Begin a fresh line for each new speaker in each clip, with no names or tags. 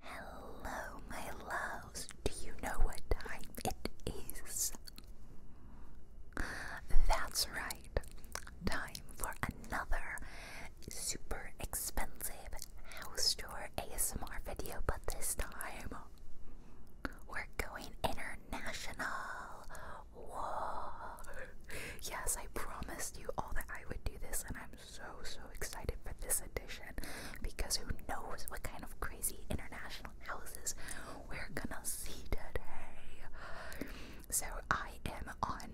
Hello, my loves. Do you know what time it is? That's right. Time for another super expensive house tour ASMR video, but this time we're going international. Yes, I promised you all that I would do this, and I'm so, so excited for this edition because who knows what kind of crazy international houses we're gonna see today. So, I am on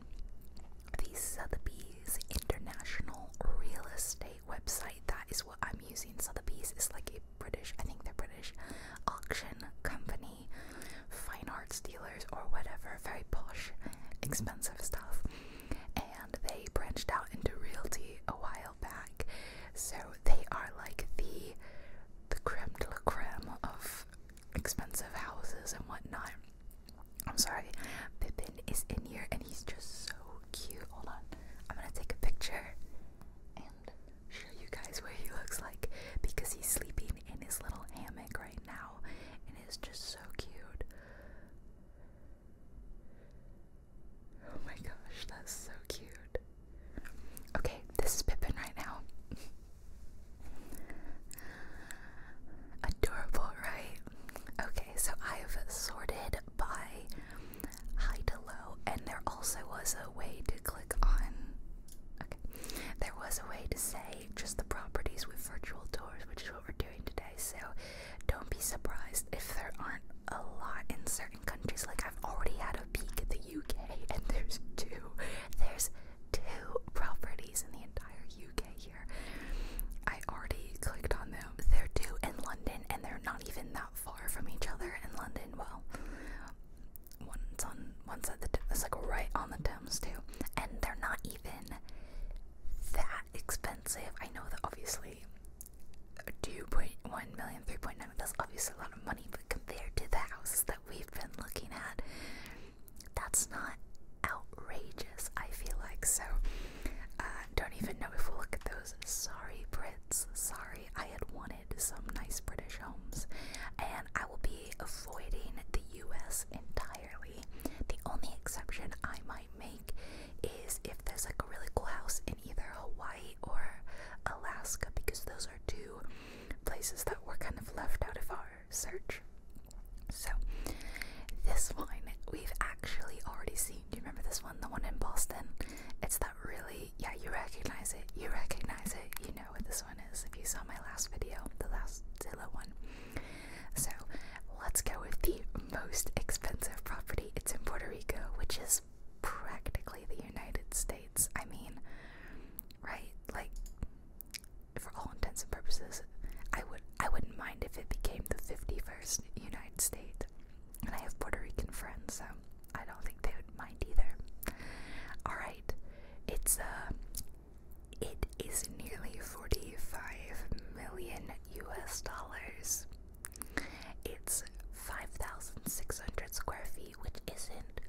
the Sotheby's International Real Estate website. That is what I'm using. Sotheby's is like a British, I think they're British, auction company, fine arts dealers, or whatever. Very posh, expensive stuff and they branched out into realty a while back. So they are like the the creme de la creme of expensive houses and whatnot. I'm sorry, Pippin is in here and he's just so cute. Hold on, I'm gonna take a picture and show you guys what he looks like because he's sleeping in his little hammock right now and he's just so cute. Oh my gosh, that's so cute. Okay, this is Pippin right now. Adorable, right? Okay, so I've sorted by high to low, and there also was a way to click on. Okay, there was a way to say just the properties with virtual doors, which we're doing today, so don't be surprised if there aren't a lot in certain countries. Like, I've already had a peek at the UK, and there's two. There's two properties in the entire UK here. I already clicked on them. They're two in London, and they're not even that far from each other in London. Well, one's on one side of the Thames, like right on the Thames too, and they're not even that expensive. I know that obviously 2.1 million, 3.9 that's obviously a lot of money, but compared to the house that we've been looking at, that's not outrageous, I feel like. So, uh, don't even know if we'll look at those. Sorry, Brits. Sorry, I had wanted some nice British homes, and I will be avoiding the US entirely. The only exception I might make is if there's like a really cool house in either Hawaii or Alaska because those are two places that were kind of left out of our search. So this one we've actually already seen. Do you remember this one? The one in Boston? It's that really yeah, you recognize it. You recognize it. You know what this one is. If you saw my last video, the last Zillow one. So let's go with the most expensive property. It's in Puerto Rico, which is practically the United States. I mean, right? Like, for all intents and purposes, I would I wouldn't mind if it became the fifty-first United States. And I have Puerto Rican friends, so I don't think they would mind either. All right, it's uh, it is nearly forty-five million U.S. dollars. It's 5,600 square feet, which isn't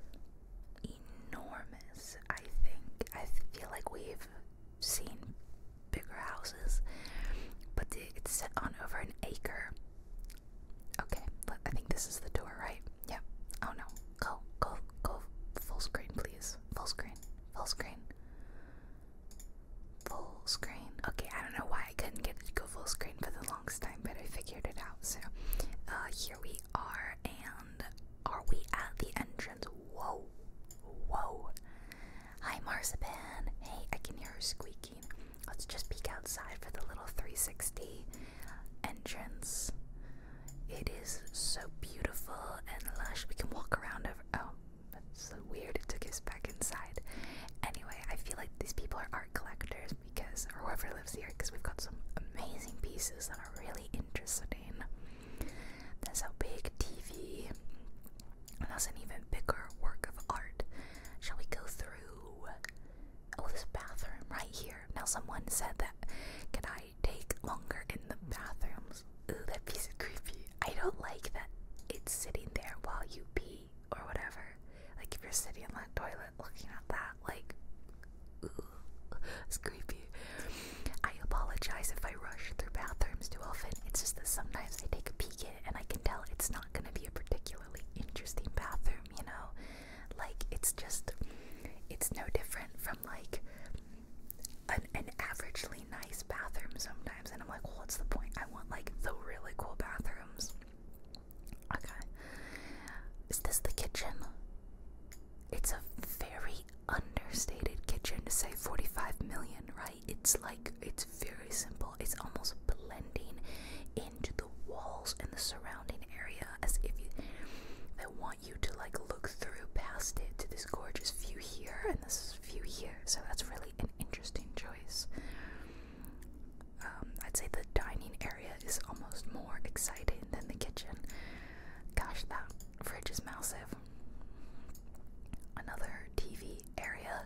enormous, I think. I feel like we've seen bigger houses, but it's set on over an acre. Okay, look, I think this is the tour, right? Yeah. Oh no. Go, go, go. Full screen, please. Full screen. Full screen full screen. Okay, I don't know why I couldn't get to go full screen for the longest time, but I figured it out. So uh, here we are, and are we at the entrance? Whoa, whoa. Hi, Marzipan. Hey, I can hear her squeaking. Let's just peek outside for the little 360 entrance. It is so beautiful and lush. We can walk around. Over oh, that's so weird. It took us back inside. Anyway, I feel like these people are art collectors because, or whoever lives here, because we've got some amazing pieces that are really interesting. That's a big TV, and that's an even bigger work of art. Shall we go through? Oh, this bathroom right here. Now, someone said that. Can I take longer in the bathrooms? Oh, that piece is creepy. I don't like that it's sitting there while you pee or whatever. Like if you're sitting on that toilet looking at that, like, ooh, it's creepy. I apologize if I rush through bathrooms too often. It's just that sometimes I take a peek in and I can tell it's not going to be a particularly interesting bathroom, you know? Like, it's just, it's no different from like an, an averagely nice bathrooms sometimes, and I'm like, what's the point? I want like the really cool bathrooms. Okay. Is this the kitchen? It's a very understated kitchen to say 45 million, right? It's like, it's very simple. It's almost blending into the walls and the surrounding area as if they want you to like look through past it to this gorgeous view here and this view here. So that's really an interesting choice. Um, I'd say the dining area is almost more exciting than the kitchen. Gosh, that fridge is massive. Another TV area.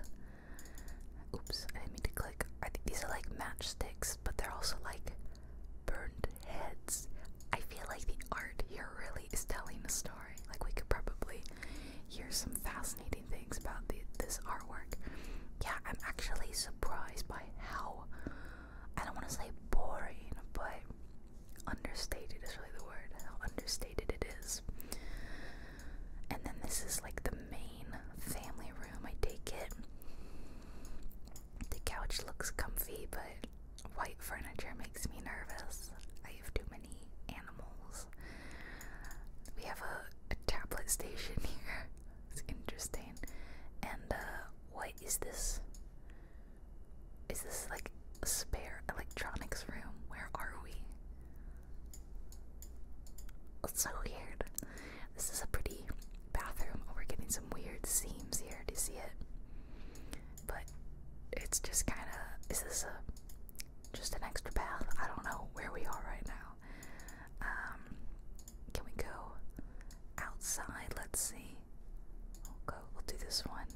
Oops, I didn't mean to click. I think these are like matchsticks, but they're also like burned heads. I feel like the art here really is telling a story. Like we could probably hear some fascinating things about this artwork. Yeah, I'm actually surprised by how I don't want to say boring, but understated is really the word. understated it is. And then this is like the main family room. I take it. The couch looks comfy, but white furniture makes me nervous. I have too many animals we have a, tablet station here. it's interesting. And uh, what is this? Is this like a spare electronics room? Where are we? It's so weird. This is a pretty bathroom. Oh, we're getting some weird seams here. Do you see it? But it's just kind of. Is this a just an extra path. I don't know where we are right now. Um, can we go outside? Let's see. We'll go. We'll do this one.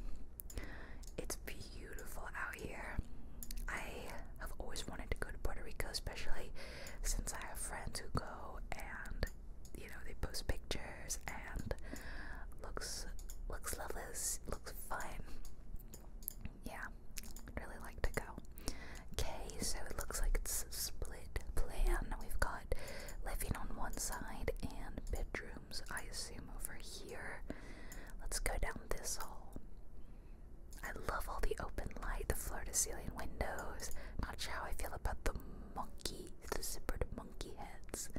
It's beautiful out here. I have always wanted to go to Puerto Rico, especially since I have friends who go and you know they post pictures and looks looks lovely, looks fun. Yeah, really like to go. Okay, so it looks like it's a split plan. We've got living on one side and bedrooms, I assume, over here. Let's go down this hall. I love all the open light, the floor to ceiling windows. Not sure how I feel about the monkey, the zippered monkey heads.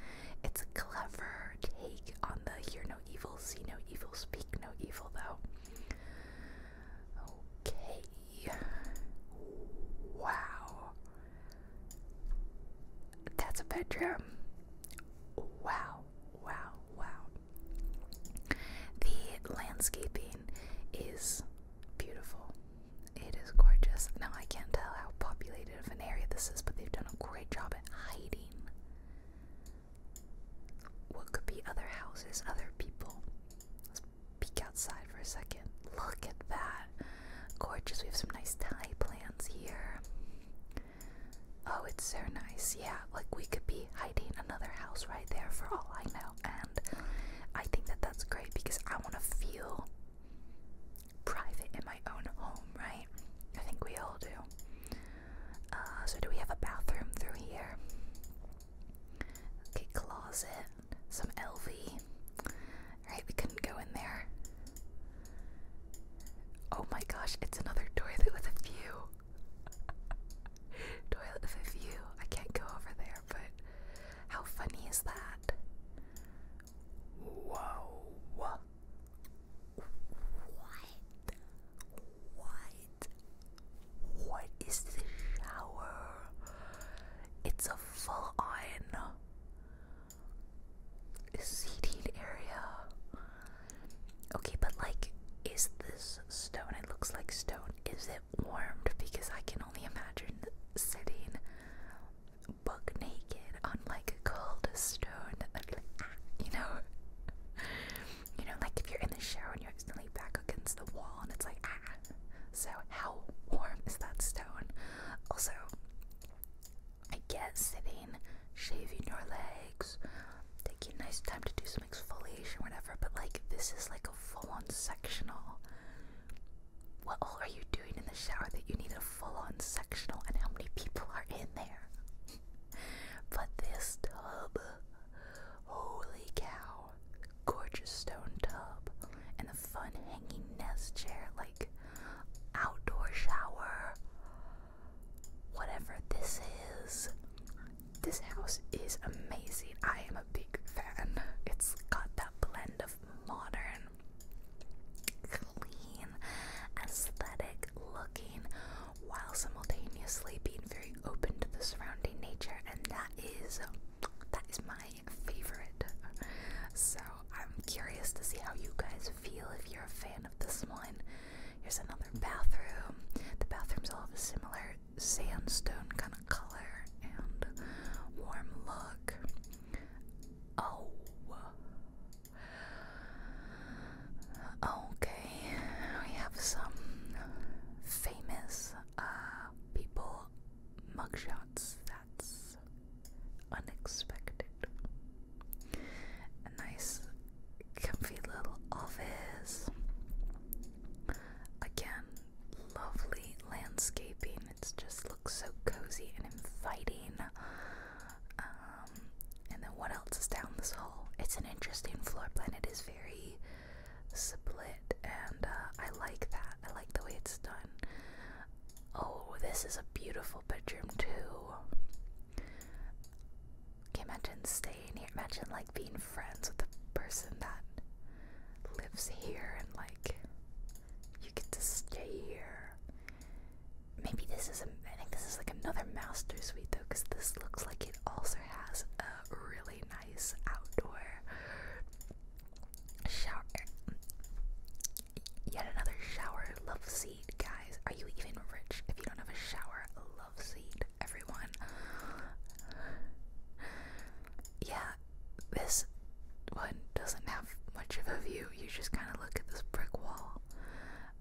It's a clever take on the Hear No no evil, see no evil, speak no evil, though. Okay. Wow. That's a bedroom. Wow, wow, wow. The landscaping is beautiful. It is gorgeous. Now, I can't tell how populated of an area this is, but they've done a great job at hiding what could be other houses, other people. Let's peek outside for a second. Look at that. Gorgeous. We have some nice Thai plants here. Oh, it's so nice. Yeah, like we could be hiding another house right there for all I know. And I think that that's great because I want to feel private in my own home, right? I think we all do. Uh, so do we have a bathroom through here? Okay, closet, some LV. Alright, we couldn't go in there. Oh my gosh, it's another toilet with a view. toilet with a view. I can't go over there, but how funny is that? Whoa. What? What? What is this shower? It's a full on seated area. Okay, but like, is this stone? It looks like stone. Is it warmed? Because I can only imagine sitting buck naked on like a cold stone, ah, you know you know, like if you're in the shower and you accidentally back against the wall and it's like, ah. So, how warm is that stone? Also, I get sitting, shaving your legs, taking a nice time to do some exfoliation, whatever, but like this is like a full on sectional. What are you doing in the shower that you need a full on sectional, and how many people are in there? but this tub, holy cow, gorgeous stone tub, and the fun hanging nest chair, like outdoor shower, whatever this is. This house is amazing. I am a big fan. It's got that blend of modern, clean, aesthetic looking while simultaneously being very open to the surrounding nature and that is that is my favorite. So I'm curious to see how you guys feel if you're a fan of this one. Here's another bathroom. The bathrooms all have a similar sandstone kind of color and warm look. Oh Okay, we have some famous uh, people mugshots. That's unexpected. A nice, comfy little office. Again, lovely landscaping. It just looks so cozy and inviting. Uh, um, and then what else is down this hall? It's an interesting floor plan. It is very split, and uh, I like that. I like the way it's done. Oh, this is a beautiful bedroom too. Can imagine staying here. Imagine like being friends with the person that lives here, and like you get to stay here. Maybe this is a. I think this is like another master suite though, because this looks like also has a really nice outdoor shower. Yet another shower love seat, guys. Are you even rich if you don't have a shower love seat, everyone? Yeah, this one doesn't have much of a view. You just kind of look at this brick wall.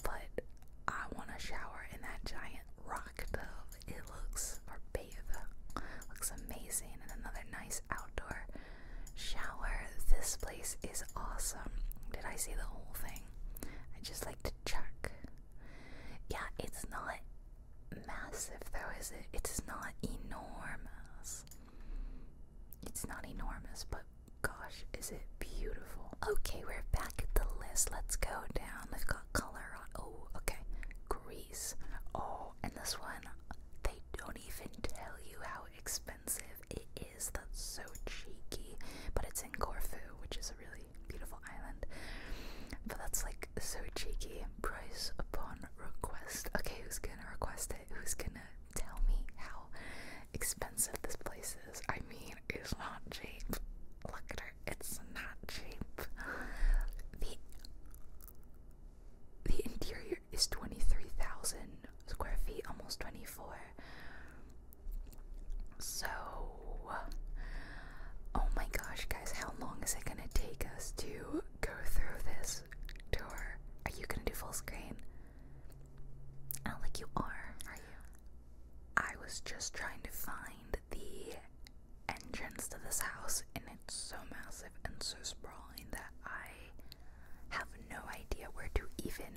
But I want to shower in that giant rock tub. It looks, or bathe, looks amazing. And another nice outdoor shower. This place is awesome. Did I see the whole thing? I just like to check. Yeah, it's not massive though, is it? It's not enormous. It's not enormous, but gosh, is it beautiful. Okay, we're back at the list. Let's go down. We've got color. Oh, okay. Greece. Oh, and this one, they don't even tell you how expensive it is. That's so cheeky. But it's in Corfu, which is a really beautiful island. But that's like so cheeky. Price upon request. Okay, who's gonna request it? Who's gonna tell me how expensive this place is? I mean, it's not cheap. Look at her it's not cheap. The the interior is 23,000 square feet, almost 24. So, oh my gosh, guys, how long is it gonna take us to go through this tour? Are you gonna do full screen? I don't think you are, are you? I was just trying to find the entrance to this house, and it's so massive and so sprawling that I have no idea where to even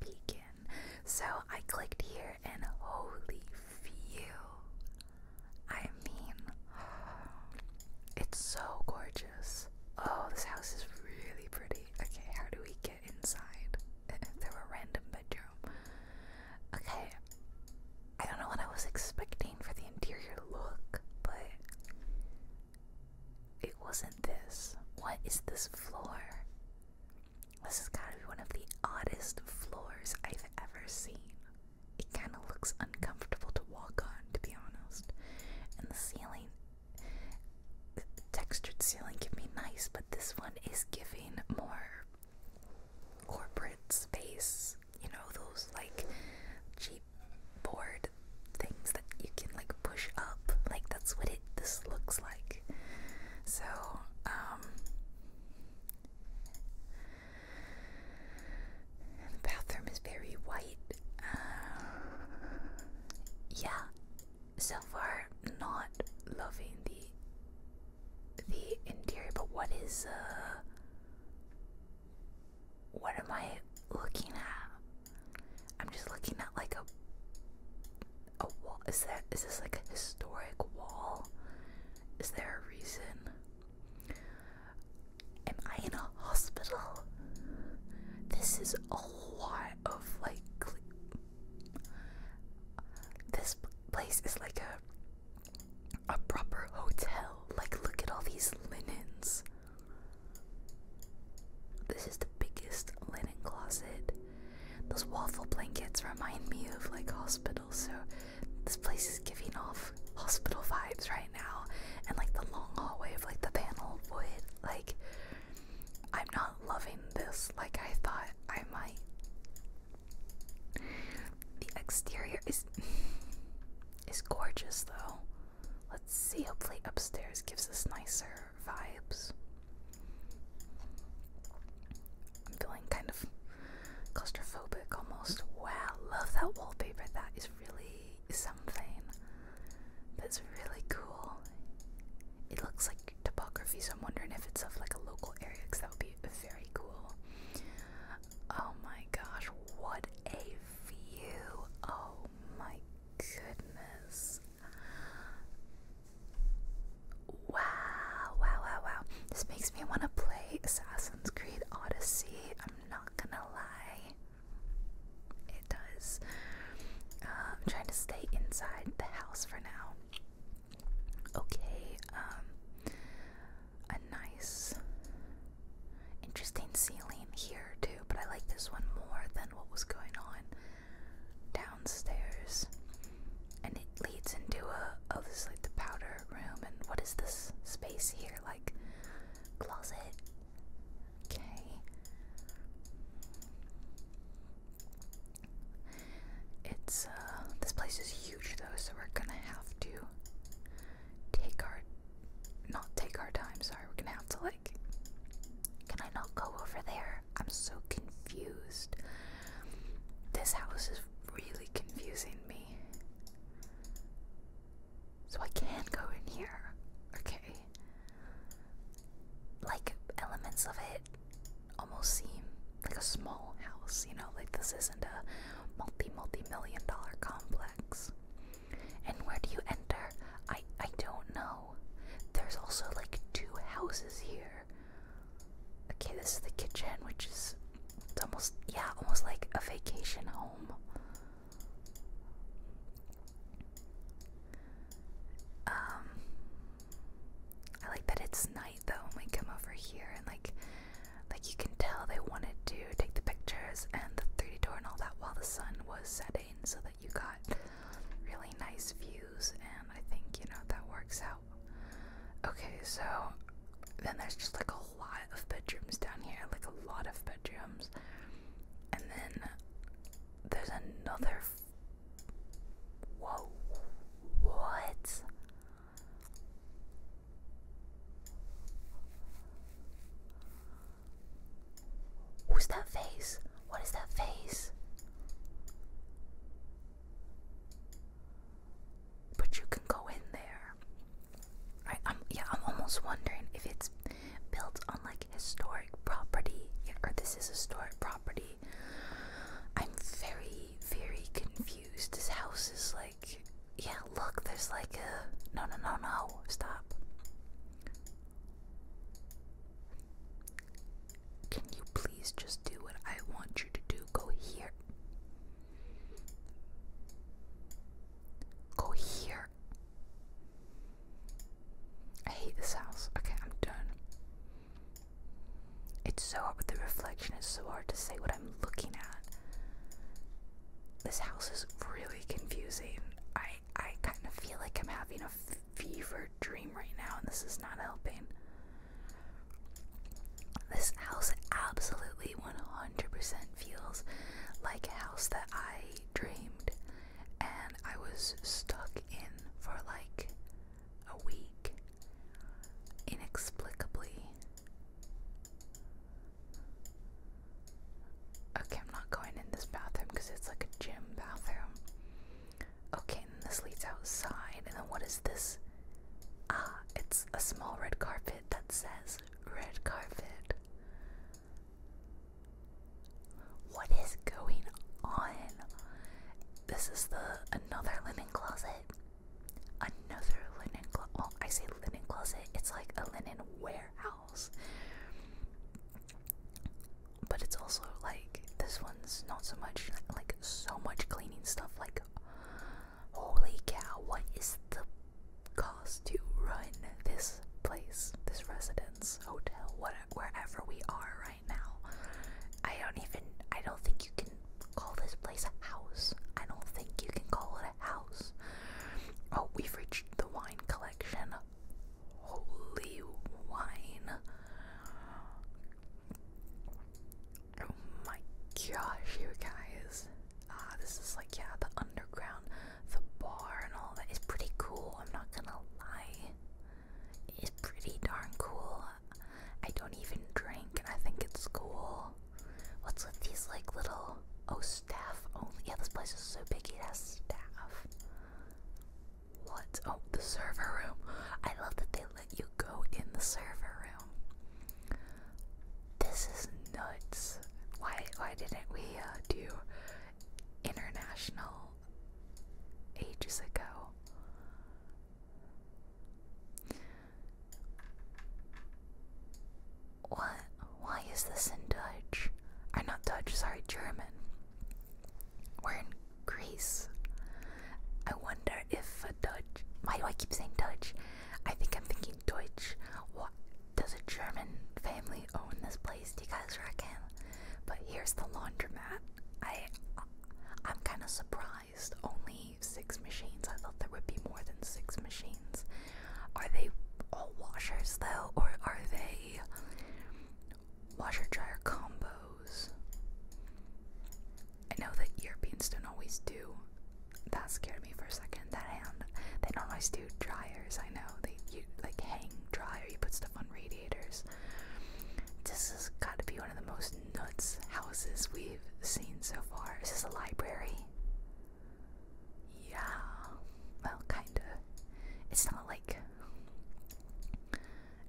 begin. So I clicked here, and holy phew! I mean, it's so gorgeous. Oh, this house is really pretty. Okay, how do we get? inside through a random bedroom. Okay, I don't know what I was expecting for the interior look, but it wasn't this. What is this floor? This has gotta be one of the oddest floors I've ever seen. It kinda looks uncomfortable to walk on, to be honest. And the ceiling, the textured ceiling can be nice, but this one is giving more corporate space, you know, those like cheap board things that you can like push up. Like that's what it this looks like. So, um the bathroom is very white. Uh, yeah, so far not loving the the interior, but what is uh what am I looking at? I'm just looking at like a a wall. Is that is this like a historic wall? Is there a reason? Am I in a hospital? This is a lot of like this place is like a a proper hotel. Like look at all these linens. This is the biggest linen closet. Those waffle blankets remind me of like hospitals, so this place is giving off hospital vibes right now. And like the long hallway of like the panel wood. Like I'm not loving this like I thought I might. The exterior is is gorgeous though. Let's see, hopefully upstairs gives us nicer vibes. I'm feeling kind of claustrophobic almost. Wow, love that wallpaper. That is really something. That's really cool. It looks like topography, so I'm wondering if it's of like a local area because that would be very cool. Oh my gosh, what a view! Oh my goodness. Wow, wow, wow, wow. This makes me want to play Assassin's Creed Odyssey. I'm not gonna lie. It does. Uh, I'm trying to stay inside the house for now okay, um, a nice, interesting ceiling here too, but I like this one more than what was going on downstairs. And it leads into a, oh, this is like the powder room, and what is this space here? Like, closet? Okay. It's uh, this place is huge though, so we're gonna have to take our not take our time, sorry, we're gonna have to like can I not go over there? I'm so confused. This house is really confusing me. So I can go in here. Okay. Like elements of it almost seem like a small house, you know, like this isn't a multi multi million dollar complex. And where do you enter? I I don't know. There's also like two houses here. Okay, this is the kitchen, which is it's almost yeah, almost like a vacation home. Um I like that it's night though when we come over here and like like you can tell they wanted to take the pictures and the 3D tour and all that while the sun was setting so that you got really nice views and I think you know that works out. Okay, so then there's just like a lot of bedrooms down here, like a lot of bedrooms. And then there's another Whoa, what? Who's that face? What is that face? But you can go in there. I'm yeah, I'm almost wondering if it's built on like historic property. Yeah, or this is historic property. I'm very very, confused. This house is like, yeah, look, there's like a. No, no, no, no, stop. Can you please just do what I want you to do? Go here. Go here. I hate this house. Okay, I'm done. It's so hard. The reflection is so hard to say what I'm looking at. This house is really confusing. I I kind of feel like I'm having a fever dream right now, and this is not helping. This house absolutely 100% feels like a house that I dreamed and I was stuck in for like a week, inexplicably. Okay, I'm not going in this bathroom because it's like a gym bathroom. Okay, this leads outside. And then what is this? Ah, it's a small red carpet that says red carpet. What is going on? This is the another linen closet another linen closet. Well, I say linen closet, it's like a linen warehouse. But it's also like this one's not so much like so much cleaning stuff. Like, holy cow, what is the cost to run this place, this residence, hotel, whatever, wherever we are, right? now. I don't even, I don't think you can call this place a house. I don't think you can call it a house. Oh, we've reached the wine collection. Holy wine. Oh my gosh, you guys. Ah, this is like, yeah, the underground, the bar, and all that is pretty cool. I'm not gonna lie. It's pretty darn cool. I don't even drink, and I think it's cool. What's with these like little oh staff Oh Yeah, this place is so big it has staff. What? Oh, the server room. I love that they let you go in the server room. This is nuts. Why? Why didn't we uh, do international ages ago? What? Why is this in Dutch? I'm not Dutch, sorry, German. We're in Greece. I wonder if a Dutch. Why do I keep saying Dutch? I think I'm thinking Deutsch. What? Does a German family own this place? Do you guys reckon? But here's the laundromat. I, I'm kind of surprised only six machines. I thought there would be more than six machines. Are they all washers though, or are they washer dryer combos? I know that Europeans don't always do. That scared me for a second. That hand. They don't always do dryers. I know they you like hang dry or You put stuff on radiators. This has got to be one of the most nuts houses we've seen so far. Is this a library? Yeah. Well, kinda. It's not like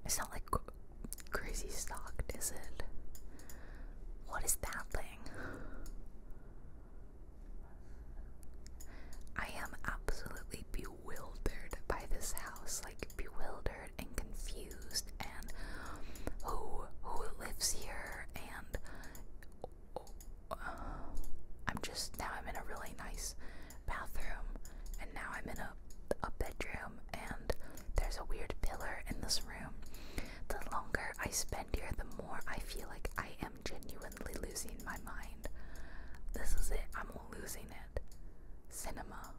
it's not like crazy stocked, is it? What is that thing? I am absolutely bewildered by this house, like bewildered and confused and who who lives here and uh, I'm just now I'm in a really nice bathroom and now I'm in a a bedroom and there's a weird pillar in this room. The longer I spend here, the more I feel like I am genuinely losing my mind. This is it. I'm losing it. Cinema.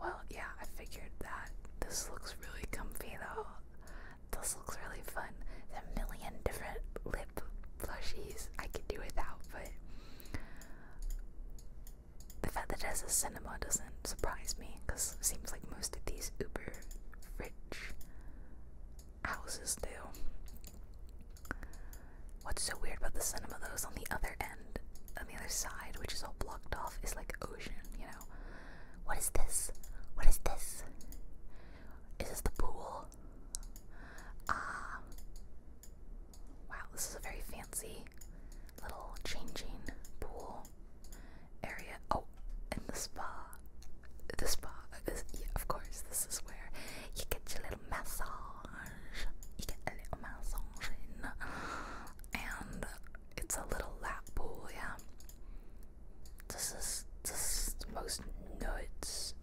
Well, yeah, I figured that. This looks really comfy though. This looks really fun. There's a million different lip plushies I could do without, but the fact that there's a cinema doesn't surprise me because it seems like most of these uber rich houses do. What's so weird about the cinema though is on the other end and on the other side, which is all blocked off, is like ocean, you know? What is this? What is this? Is this the pool? Ah. wow, this is a very fancy little changing pool area. Oh, and the spa. The spa. of course, this is where you get your little massage. You get a little massage and it's a little lap pool, yeah. This is this is the most nuts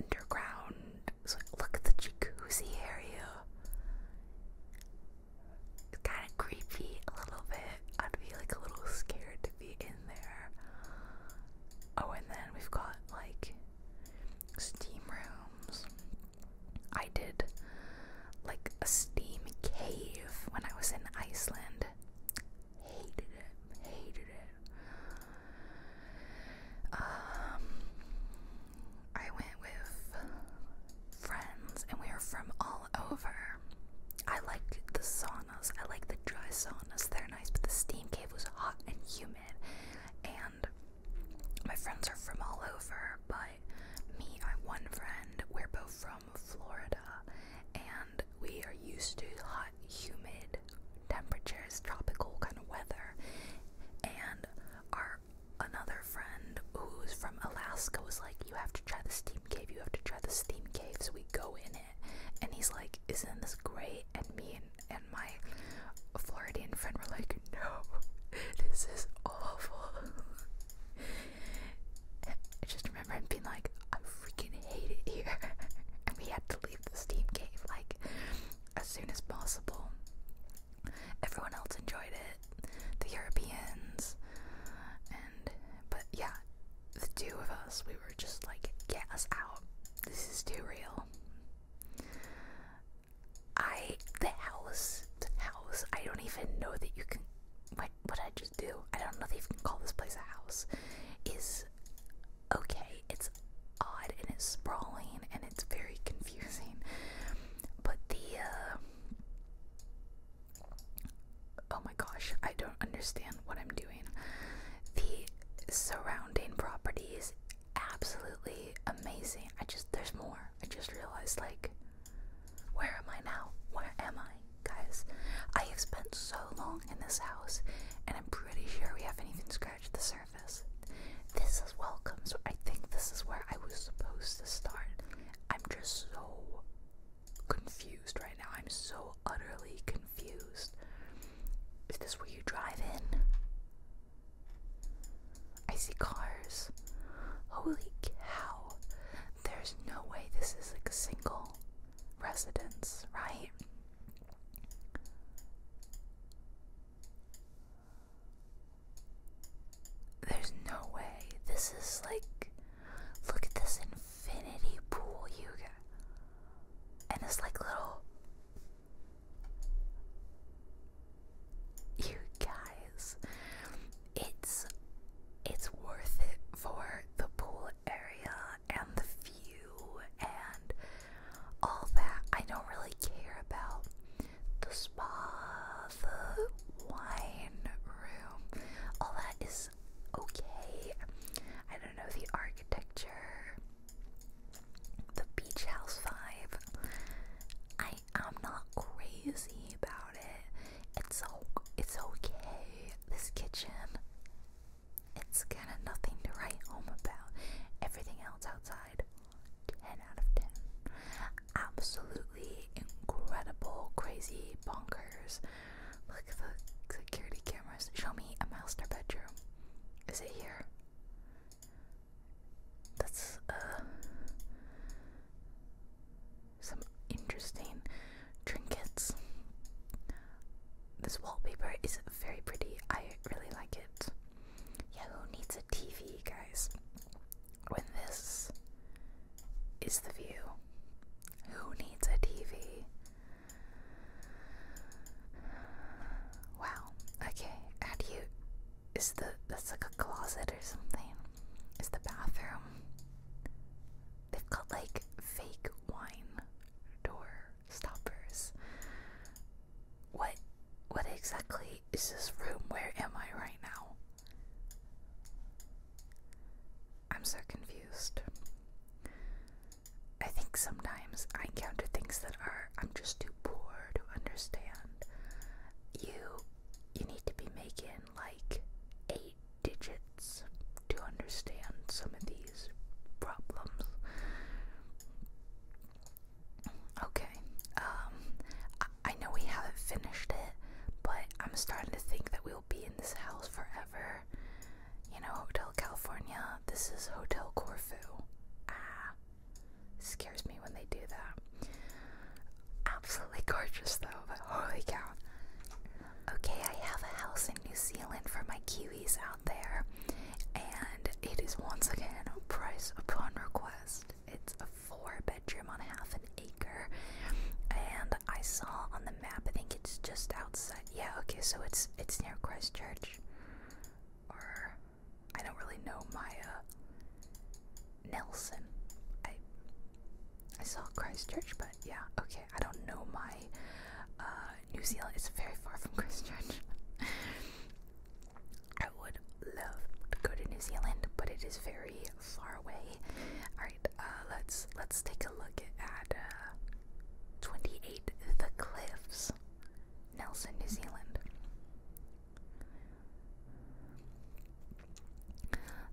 underground. So look at the jacuzzi area. It's kind of creepy a little bit. I'd be like a little scared to be in there. Oh, and then we've got like steam rooms. I did like a steam cave when I was in Iceland. Hated it, hated it. Um, I went with friends and we were from all over. I like the saunas, I like the dry saunas, they're nice, but the steam cave was hot and humid. And my friends are from all over, but me, and one friend, we're both from Florida, and we are used to hot, humid temperatures, tropical kind of weather. And our another friend who's from Alaska was like, You have to try the steam cave, you have to try the steam cave. So we go in it, and he's like, Isn't this great? And me and, and my Floridian friend were like, no, this is awful. I just remember him being like, I freaking hate it here. and we had to leave the Steam cave like as soon as possible. Everyone else enjoyed it, the Europeans, and but yeah, the two of us, we were just like, get us out. This is too real. I the house, the house. I don't even know that you can. What what I just do? I don't know that you can call this place a house. Is okay. It's odd and it's sprawling and it's very confusing. But the uh, oh my gosh, I don't understand what I'm doing. The surrounding property is absolutely amazing I just, there's more. I just realized, like, where am I now? Where am I, guys? I have spent so long in this house, and I'm pretty sure we haven't even scratched the surface. This is welcome, so I think this is where I was supposed to start. I'm just so confused right now. I'm so utterly confused. Is this where you drive in? I see cars. Holy cow. There's no way this is like a single residence, right? There's no way. This is like. Look at this infinity pool you get. And it's like little you guys, it's it's worth it for the pool area and the view and all that. I don't really care about the spa, the wine room, all that is okay. I don't know the architecture, the beach house vibe. I I am not crazy about it. It's it's okay. This kitchen, it's kind of nothing to write home about. Everything else outside, ten out of ten. Absolutely incredible, crazy, bonkers. Look at the security cameras. Show me a master bedroom. Is it here? That's uh, some interesting trinkets. This wallpaper is very pretty. I really like it. Yeah, who needs a TV, guys? When this is the view. Who needs a TV? Wow. Okay, how you is the that's like a closet or something. Is the bathroom? They've got like fake wine door stoppers. What what exactly is this room? Where am I right now? I'm so confused. I think sometimes I encounter things that are I'm just too poor to understand. You you need to be making like eight digits to understand some of these problems. Okay, um, I, know we haven't finished it, but I'm starting to think that we'll be in this house forever. You know, Hotel California, this is Hotel Corfu. Ah scares me when they do that. Absolutely gorgeous though, but holy cow. Okay, I have a house in New Zealand for my Kiwis out there, and it is once again price upon request. It's a four bedroom on half an acre, and I saw on the map. I think it's just outside. Yeah, okay, so it's it's near Christchurch, I don't really know Maya Nelson. I I saw Christchurch, but yeah, okay. I don't know my uh, New Zealand. It's very far from Christchurch. I would love to go to New Zealand, but it is very far away. All right, uh, let's let's take a look at uh, 28 The Cliffs, Nelson, New Zealand.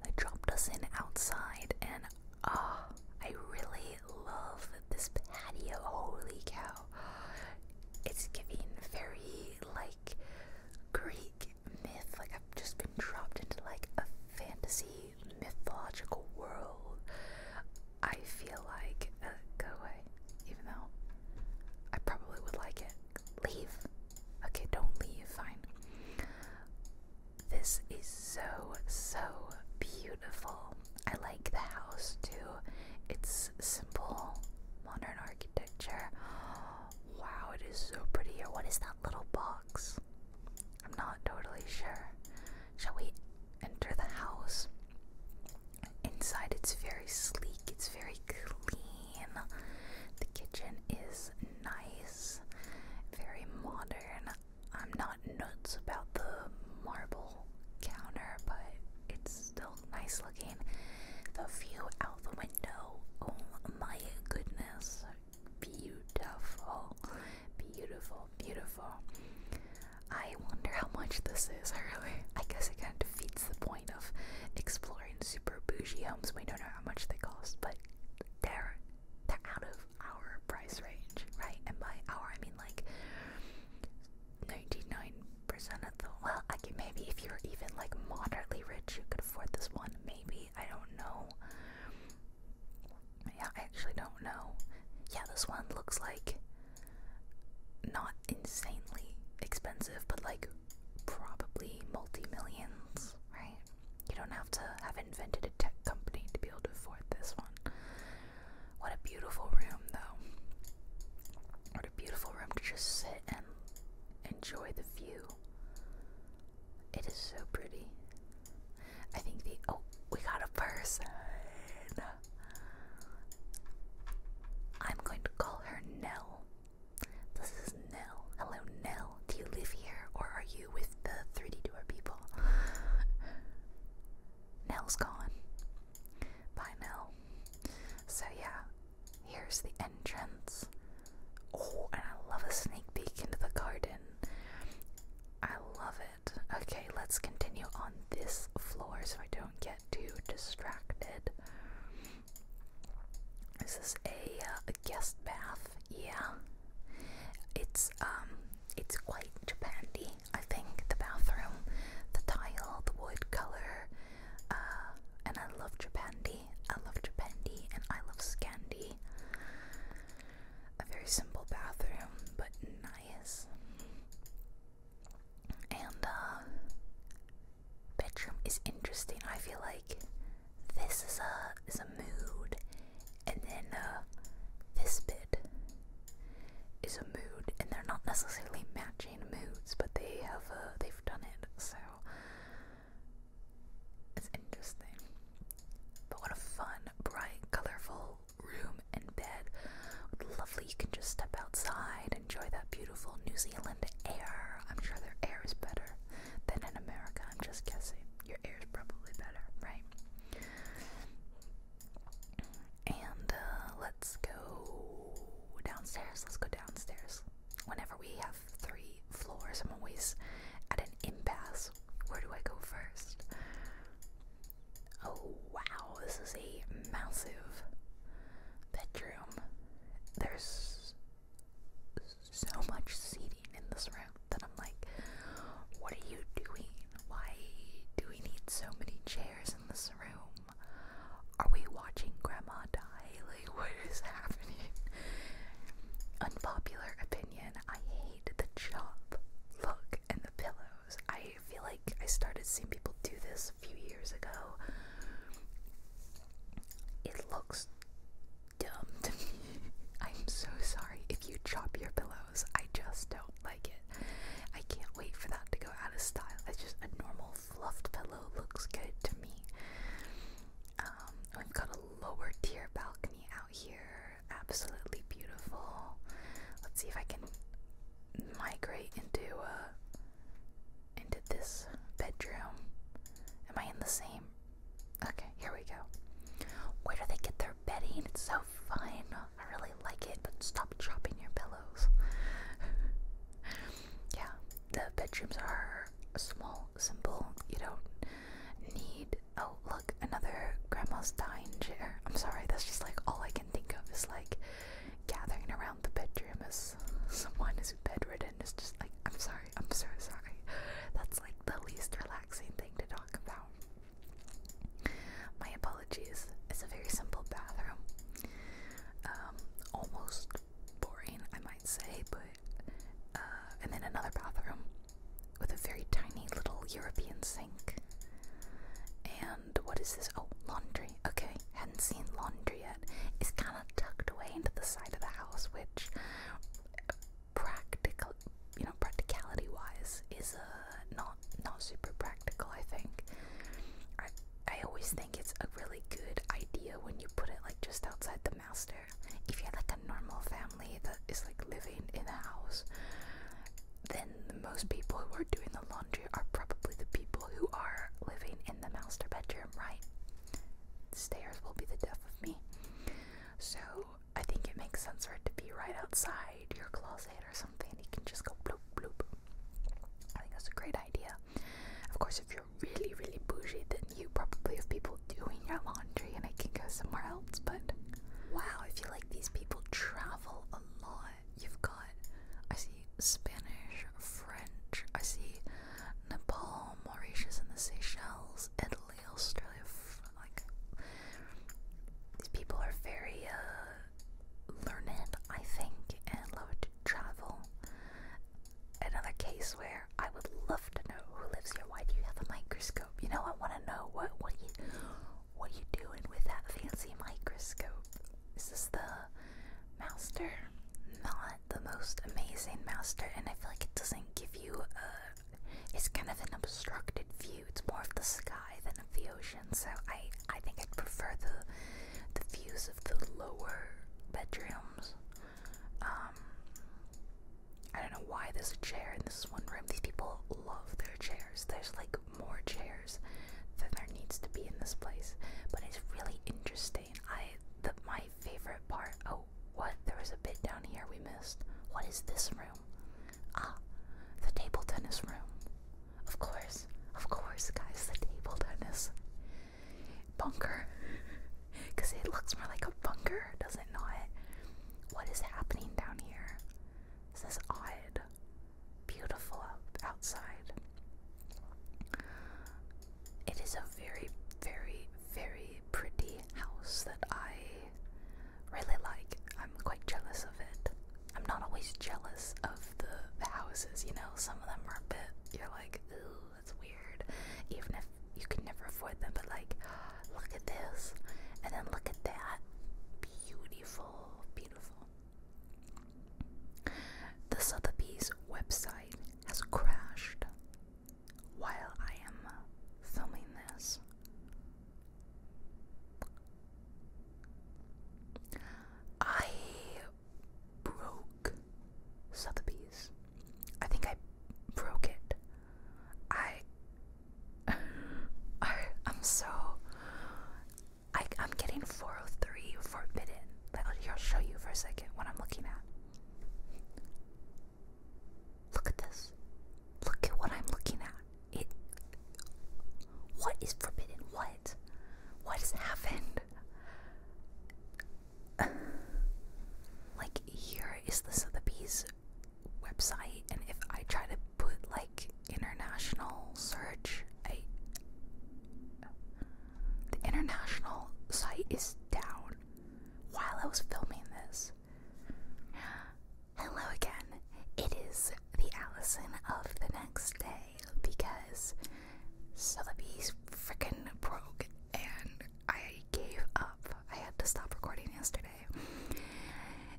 They dropped us in outside, and ah, I really love this patio. Holy cow! It's giving very like Greek myth. Like I've just been dropped into like a fantasy mythological world. I feel like uh, go away, even though I probably would like it. Leave. Okay, don't leave, fine. This is so, so beautiful. I like the house too. It's simple, modern architecture. Wow, it is so pretty here. What is that little box? I'm not totally sure. Shall we enter the house? Inside, it's very sleek, it's very clean. The kitchen is nice, very modern. I'm not nuts about the marble counter, but it's still nice looking. The view out the window, oh my goodness, beautiful, beautiful, beautiful. I wonder how much this is, I guess it kind of defeats the point of exploring super bougie homes. We don't know how much they cost, but they're they're out of our price range, right? And by our, I mean like ninety nine percent of the well, I can maybe if you're even like moderately rich, you could afford this one. Maybe I don't know. Yeah, I actually don't know. Yeah, this one looks like not insanely expensive, but like probably multi millions, right? You don't have to have invented a tech company to be able to afford this one. What a beautiful room, though. What a beautiful room to just sit and enjoy the view. It is so pretty. I think the. Oh, we got a person! I'm going to call her Nell. This is Nell. Hello, Nell. Do you live here or are you with the 3D Door people? Nell's gone. Bye, Nell. So, yeah, here's the entrance. Oh, and I love a sneak peek into the garden. I love it. Okay, let's continue on this floor so I don't get too distracted. This is uh, a, guest bath. Yeah, it's um, it's quite Japandy. I think the bathroom, the tile, the wood color. Uh, and I love Japandi. I love Japandi, and I love Scandi. A very simple bathroom, but nice. And um bedroom is interesting. I feel like this is a is a mood, and then uh, this bit is a mood, and they're not necessarily matching moods, but they have uh, they've done it, so it's interesting. But what a fun, bright, colorful room and bed. Lovely, you can just step outside, enjoy that beautiful New Zealand air. I'm sure their air is better than in America. I'm just guessing. Your air is probably better, right? And uh, let's go downstairs. Let's go downstairs. Whenever we have three floors, I'm always at an impasse. Where do I go first? Oh wow, this is a massive bedroom. There's so much seating in this room that I'm like, what are you doing? Why do we need so many chairs in this room? Are we watching Grandma die? Like, what is happening? Unpopular opinion I hate the chop look and the pillows. I feel like I started seeing people do this a few years ago. It looks dumped I'm so sorry if you chop your pillows. I just don't like it. I can't wait for that to go out of style. It's just a normal fluffed pillow looks good to me. Um, we've got a lower tier balcony out here. Absolutely beautiful. Let's see if I can migrate into a into this bedroom. Am I in the same? Okay, here we go. Where do they get their bedding? It's so fine? I really like it, but stop chopping your pillows. yeah, the bedrooms are small, simple. You don't need. Oh, look, another grandma's dining chair. I'm sorry, that's just like all I can think of is like gathering around the bedroom as someone is bedridden just like, I'm sorry, I'm so sorry. That's like the least relaxing thing to talk about. My apologies. It's a very simple bathroom. Um, almost boring, I might say, but, uh, and then another bathroom with a very tiny little European sink. And what is this? Oh, laundry. Okay, hadn't seen laundry yet is kind of tucked away into the side of the house, which practical, you know, practicality-wise is uh, not not super practical. I think. I I always think it's a really good idea when you put it like just outside the master. If you have like a normal family that is like living in a house, then most people who are doing the laundry are probably the people who are living in the master bedroom, right? stairs will be the death of me. So I think it makes sense for it to be right outside your closet or something. You can just go bloop bloop. I think that's a great idea. Of course, if you're really, really bougie, then you probably have people doing your laundry and it can go somewhere else. But wow, I feel like these people travel a lot. You've got, I see Spanish, French, I see Nepal, Mauritius, and the Seychelles, Italy, Australia. Like these people are very uh, learned, I think, and love to travel. Another case where I would love to know who lives here. Why do you have a microscope? You know, I want to know what what you what you doing with that fancy microscope. Is this the master? Not the most amazing master, and I feel like it doesn't give you a. It's kind of an obstructed view. It's more of the sky than of the ocean. So I, I think I'd prefer the, the views of the lower bedrooms. Um, I don't know why there's a chair in this one room. These people love their chairs. There's like more chairs than there needs to be in this place, but it's really interesting I the, my favorite part. Oh, what? There was a bit down here we missed. What is this room? Ah, the table tennis room. Of course, of course, guys. The table tennis bunker. Cause it looks more like a bunker, does it not? What is happening down here? This is odd. Beautiful outside. It is a very, very, very pretty house that I really like. I'm quite jealous of it. I'm not always jealous of the, houses, you know, some of them are a bit, you're like, ooh, that's weird, even if you can never afford them, but like, look at this, and then look at that. Beautiful, beautiful. The Sotheby's website has crashed while I am filming this. I broke Sotheby's. I think I broke it. I, I I'm so I I'm getting 403 forbidden. I'll show you for a second what I'm looking at. Look at this. Look at what I'm looking at. It. What is forbidden? What? What has happened? like here is the Sotheby's website, and if I try to put like international search, I the international site is down while I was filming this. Hello again. It is the Allison of the next day because Sotheby's freaking broke and I gave up. I had to stop recording yesterday.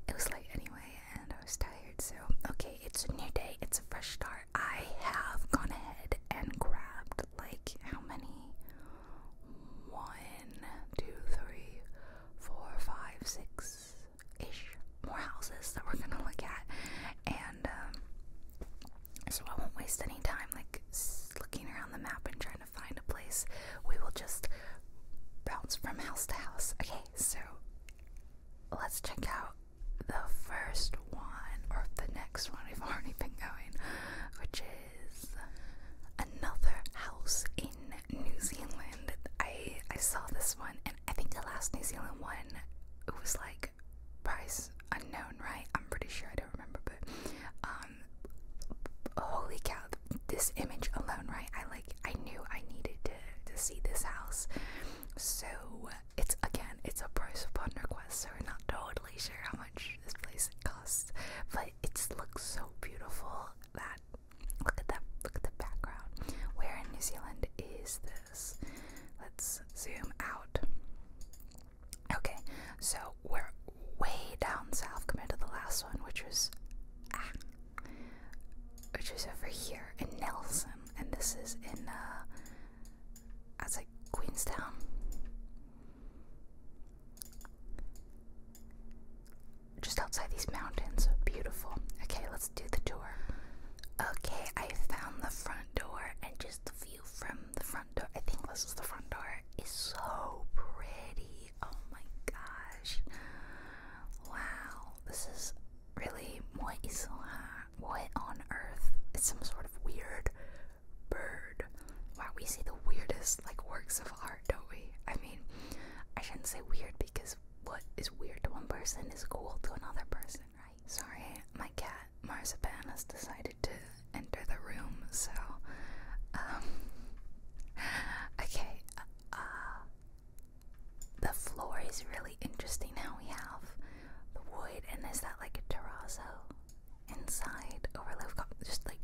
It was late anyway and I was tired, so okay, it's a new day, it's a fresh start. I have gone ahead and grabbed like how many? one, two, three, four, five, six ish more houses that we're gonna look at, and um, so I won't waste any time like looking around the map and trying to find a place. We will just bounce from house to house. Okay, so let's check out the first one or the next one. We've already been going, which is another house in New Zealand. I I saw this one, and I think the last New Zealand one it was like price unknown, right? I'm pretty sure I don't remember, but um, holy cow! This image alone, right? I like I knew I needed to to see this house, so it's again it's a price upon request, so we're not totally sure how much this place costs, but it looks so beautiful that look at that look at the background. Where in New Zealand is this? Let's zoom out. Okay, so we're way down south compared to the last one, which was ah, which was over here in Nelson, and this is in uh, like Queenstown. Just outside these mountains. Beautiful. Okay, let's do the tour. Okay, I found the front door and just the view from the front door. I think this is the front door. Is so pretty. Oh my gosh. Wow. This is really what is that? What on earth? It's some sort of weird bird. Wow, we see the weirdest like works of art, don't we? I mean, I shouldn't say weird because what is weird to one person is cool to another person, right? Sorry, my cat Marzipan has decided to enter the room, so um okay, uh, the floor is really interesting now. We have the wood and is that like a terrazzo? inside overlay. we just like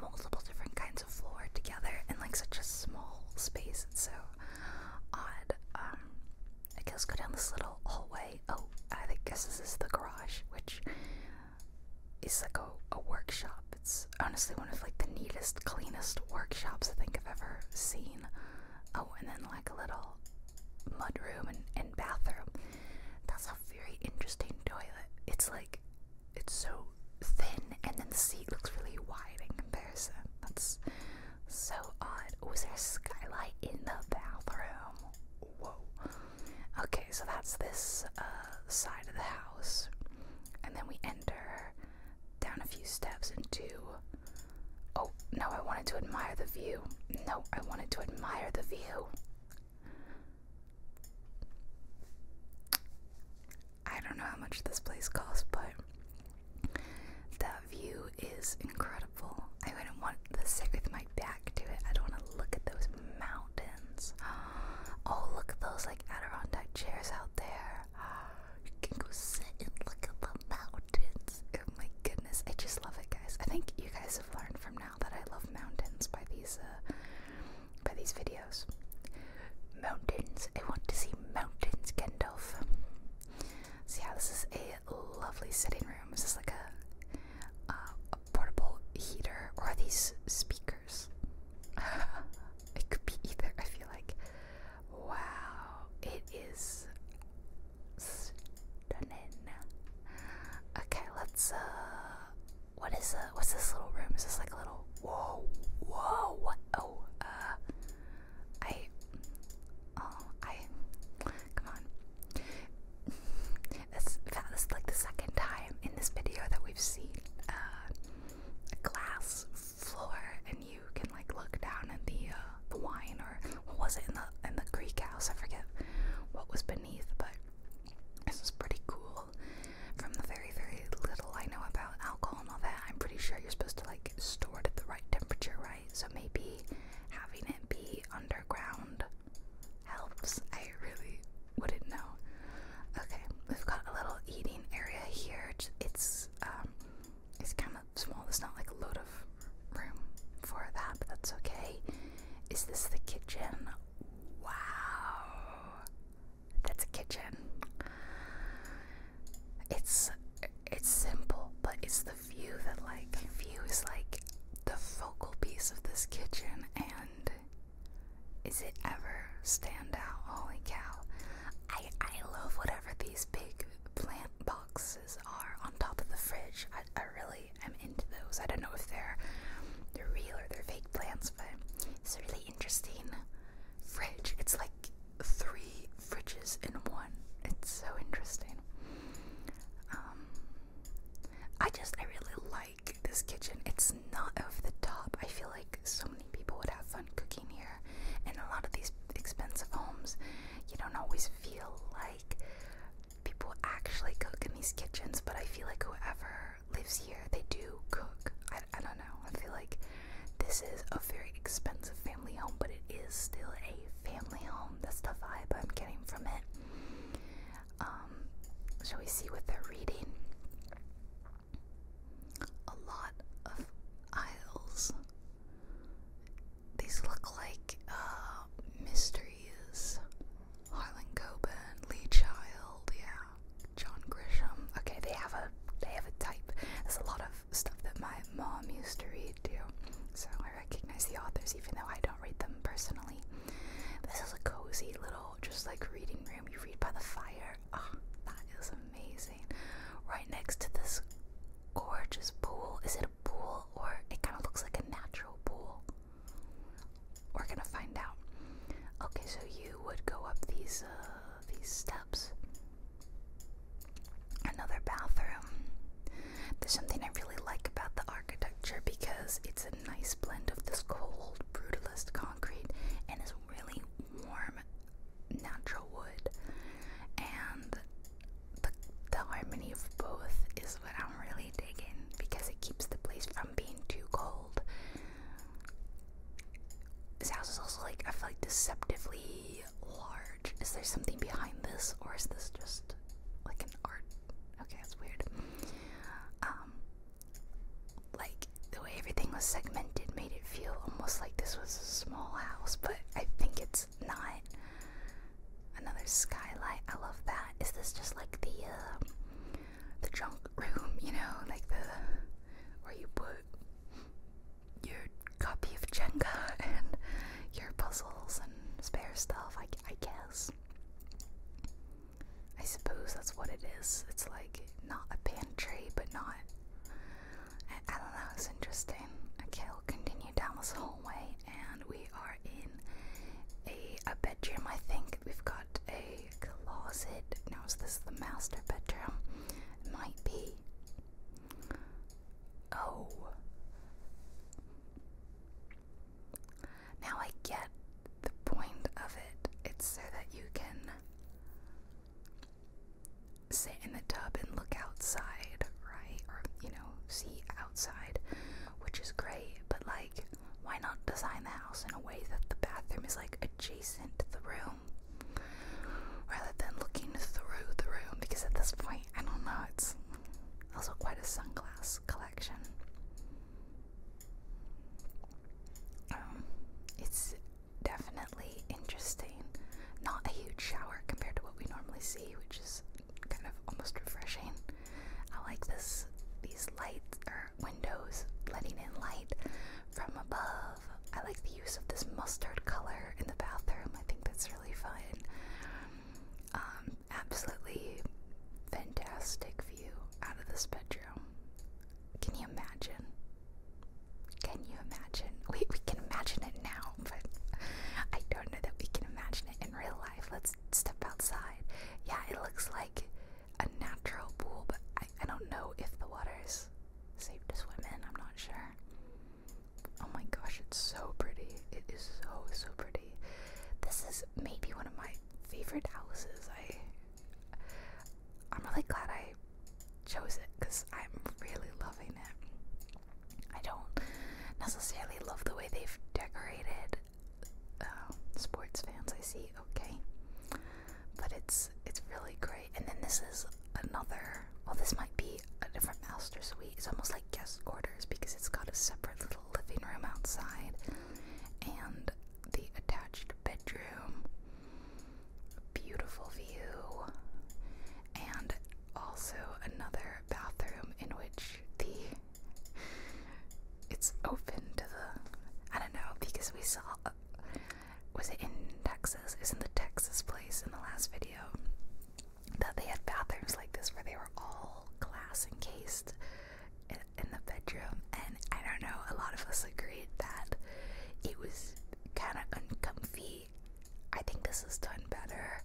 multiple different kinds of floor together in like such a small space. It's so odd. Um, I guess go down this little hallway. Oh, I guess this is the garage, which is like a, a workshop. It's honestly one of like the neatest, cleanest workshops I think I've ever seen. Oh, and then like a little mudroom and bathroom. That's a very interesting toilet. It's like it's so thin, and then the seat looks really wide in comparison. That's so odd. Was oh, there a skylight in the bathroom? Whoa. Okay, so that's this uh, side of the house, and then we enter down a few steps into. Oh no, I wanted to admire the view. No, I wanted to admire the view. I don't know how much this place costs, but that view is incredible. I wouldn't want to sit with my back to it. I don't want to look at those mountains. Oh, look at those like Adirondack chairs out there. You can go sit and look at the mountains. Oh my goodness, I just love it, guys. I think you guys have learned from now that I love mountains by these uh, by these videos. Mountains, I want to see mountains, Gandalf. see how this is a lovely sitting room. this Is like a, uh, portable heater or these speakers? it could be either. I feel like, wow, it is stunning. Okay, let's uh what is uh what's this little room? Is this like a little whoa whoa what oh uh I oh I come on this this is like the second time in this video that we've seen uh, a glass floor and you can like look down at the uh, the wine or what was it in the in the Greek house I forget what was beneath but this is pretty cool. From the very, very little I know about alcohol and all that, I'm pretty sure you're supposed to like store it at the right temperature, right? So maybe having it be underground helps. I really wouldn't know. Okay, we've got a little eating area here. It's um, it's kind of small. It's not like a load of room for that, but that's okay. Is this the kitchen Wow. That's a kitchen. It's it's simple, but it's the view that like view is like the focal piece of this kitchen and is it ever stand out? Holy cow. I I love whatever these big plant boxes are on top of the fridge. I, I really i am into those. I don't know if they're they're real or they're fake plants, but it's a really interesting fridge. It's like three fridges in one. It's so interesting. Um, I just I really like this kitchen. It's not over the top. I feel like so many people would have fun cooking here. In a lot of these expensive homes, you don't always feel like people actually cook in these kitchens, but I feel like whoever lives here, they do cook. I, I don't know. I feel like this is a very expensive family home, but it is still a family home. That's the vibe I'm getting from it. Um, shall we see what they're reading? A lot of aisles. These look like uh, mysteries. Harlan Coburn, Lee Child, yeah, John Grisham. Okay, they have a they have a type. There's a lot of stuff that my mom used to read too, so I recognize the authors even though I don't read them personally. This is a cozy little, just like reading room. You read by the fire. Ah, oh, that is amazing. Right next to this gorgeous pool. Is it a pool or it kind of looks like a natural pool? We're gonna find out. Okay, so you would go up these uh, these steps. Another bathroom. There's something I really like about the architecture because it's a nice blend of this cold brutalist concrete and this really warm natural wood. And the the harmony of both is what I'm really digging because it keeps the place from being too cold. This house is also like I feel like deceptively large. Is there something behind this, or is this just like an art? Okay, that's weird. Um, like the way everything was segmented made it feel almost like this was a small house, but I think it's not. Another skylight. I love that. Is this just like the uh, the junk room, you know, like the where you put your copy of Jenga and your puzzles and spare stuff. I, I guess. I suppose that's what it is. It's like not a pantry, but not. I, I don't know. It's interesting. Okay, we'll continue down this hallway and we are in a, bedroom. I think we've got a closet. Now, is this the master bedroom? It might be. Oh. Now I get the point of it. It's so that you can sit in the tub and look outside, right? Or, you know, see outside, which is great, but like why not design the house in a way that the bathroom is like adjacent to the room rather than looking through the room? Because at this point, I don't know, it's also quite a sunglass collection. Um, it's definitely interesting. Not a huge shower compared to what we normally see, which is kind of almost refreshing. I like this these lights or windows letting in light from above. I like the use of this mustard color in the bathroom. I think that's really fun. Um, absolutely fantastic view out of this bedroom. Can you imagine? Can you imagine? We we can imagine it now, but I don't know that we can imagine it in real life. Let's step outside. Yeah, it looks like a natural pool, but I, I don't know if the water's safe to swim in. I'm not sure. Oh my gosh, it's so pretty. It is so, so pretty. This is maybe one of my favorite houses. I I'm really glad I chose it because I'm really loving it. I don't necessarily love the way they've decorated uh, sports fans I see, okay. But it's it's really great. And then this is another. Well, this might be a different master suite. It's almost like guest quarters because it's got a separate little living room outside and the attached bedroom. Beautiful view. And also another bathroom in which the it's open to the. I don't know because we saw. Uh, was it in Texas? Isn't the Texas place in the last video that they had bathrooms like this where they were all glass encased in, in the bedroom? And I don't know. A lot of us agreed that it was kind of uncomfy. I think this is done better,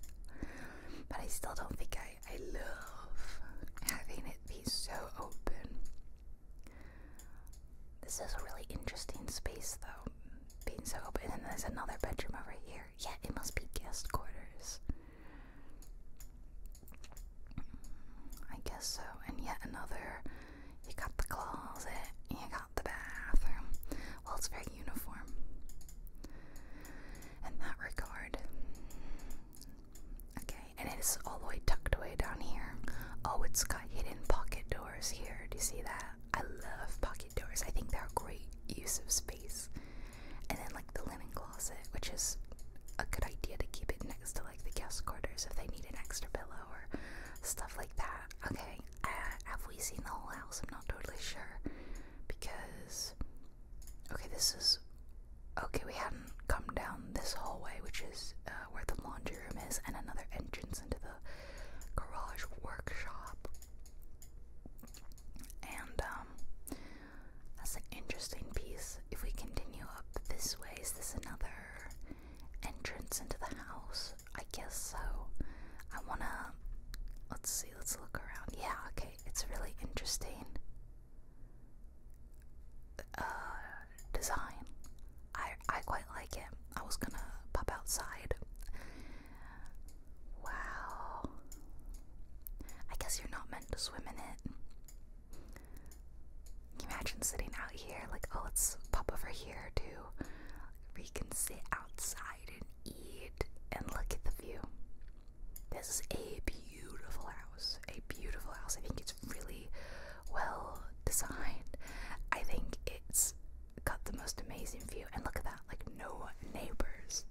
but I still don't think I I love having it be so open. This is a really interesting space, though, being so open. And there's another bedroom over here. Yeah, it must be guest quarters. I guess so. And yet another. You got the closet, you got the bathroom. Well, it's very uniform. In that regard, Okay, and it's all the way tucked away down here. Oh, it's got hidden pocket doors here. Do you see that? I love pocket doors. I think they're a great use of space. And then like the linen closet, which is a good idea to keep it next to like the guest quarters if they need an extra pillow or stuff like that. Okay, uh, have we seen the whole house? I'm not totally sure because okay, this is Okay, we hadn't come down this hallway, which is uh, where the laundry room is, and another entrance into the garage workshop. And um, that's an interesting piece. If we continue up this way, is this another entrance into the house? I guess so. I wanna. Let's see, let's look around. Yeah, okay, it's really interesting uh, design. I I quite like it. I was gonna pop outside. Wow. I guess you're not meant to swim in it. Can you imagine sitting out here? Like, oh, let's pop over here too. We can sit outside and eat and look at the view. This is a beautiful house. A beautiful house. I think it's really well designed. I think it's got the most amazing view. And look at that, like no neighbors.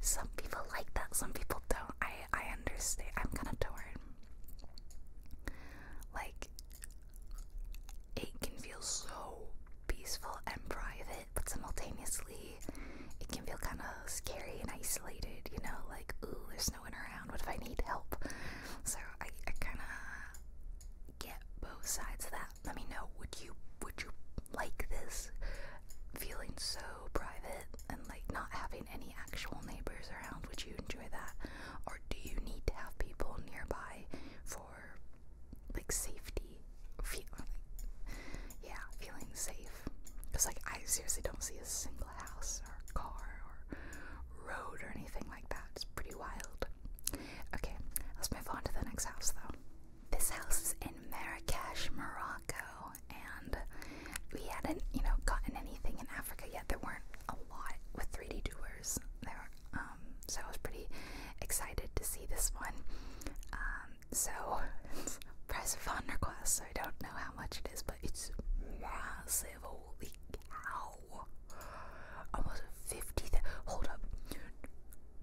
Some people like that, some people don't. I I understand. I'm kind of torn. Like it can feel so peaceful and private, but simultaneously it can feel kind of scary and isolated, you know, like, ooh, there's no one around. What if I need help? So I, kind of get both sides of that. Let me know, would you, would you like this? Feeling so private and like not having any actual neighbors around, would you enjoy that? Or do you need to have people nearby for like safety? yeah, feeling safe. Because like I seriously don't see a single house or car or road or anything like that. It's pretty wild. Okay, let's move on to the next house though. This house is in Marrakesh, Morocco, and we hadn't, you know, gotten anything in Africa yet. There weren't a lot with 3D doers there, um, so I was pretty excited to see this one. Um, so, press of fun request. I don't know how much it is, but it's massive. Holy cow! Almost 50. Hold up.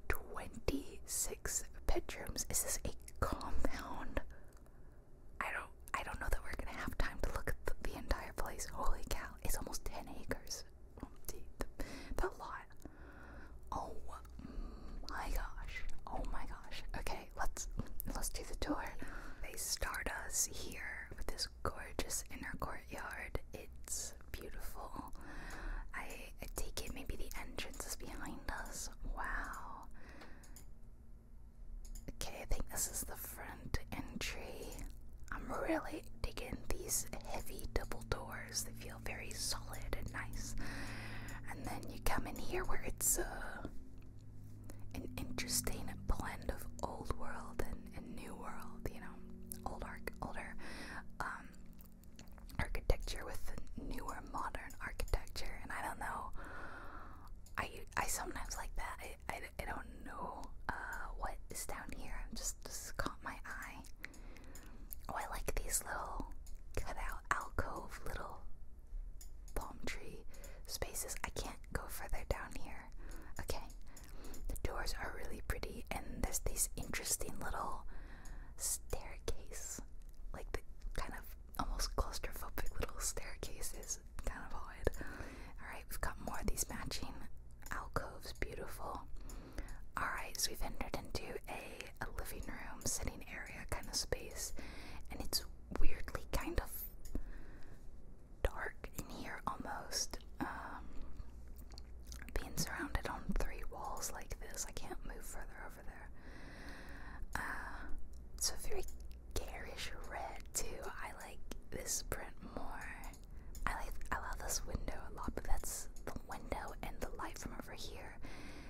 26 bedrooms. Is this a compound? I don't I don't know that we're gonna have time to look at the, entire place. Holy cow, it's almost 10 acres. Oh, the lot. Oh my gosh. Oh my gosh. Okay, let's let's do the tour. They start us here with this gorgeous inner courtyard. It's beautiful. I, I take it maybe the entrance is behind us. Wow. Okay, I think this is the front entry. I'm really digging these heavy double doors. They feel very solid and nice. And then you come in here where it's uh an interesting blend of old world and, new world, you know, old arc, older um, architecture with newer modern architecture. And I don't know, I, I sometimes like that. I, I, don't know uh, what is down here. i just, just caught my eye. Oh, I like these little cutout alcove little palm tree spaces. I can't go further down here. Okay. The doors are really pretty, and there's these interesting little staircase, like the kind of almost claustrophobic little staircases. Kind of odd. All right, we've got more of these matching alcoves. Beautiful. All right, so we've entered into a living room, sitting area kind of space, and it's weirdly kind of dark in here almost. Um, being surrounded on three walls like this, I can't move further over there. Uh, it's a very garish red too. I like this print more. I like I love this window a lot, but that's the window and the light from over here.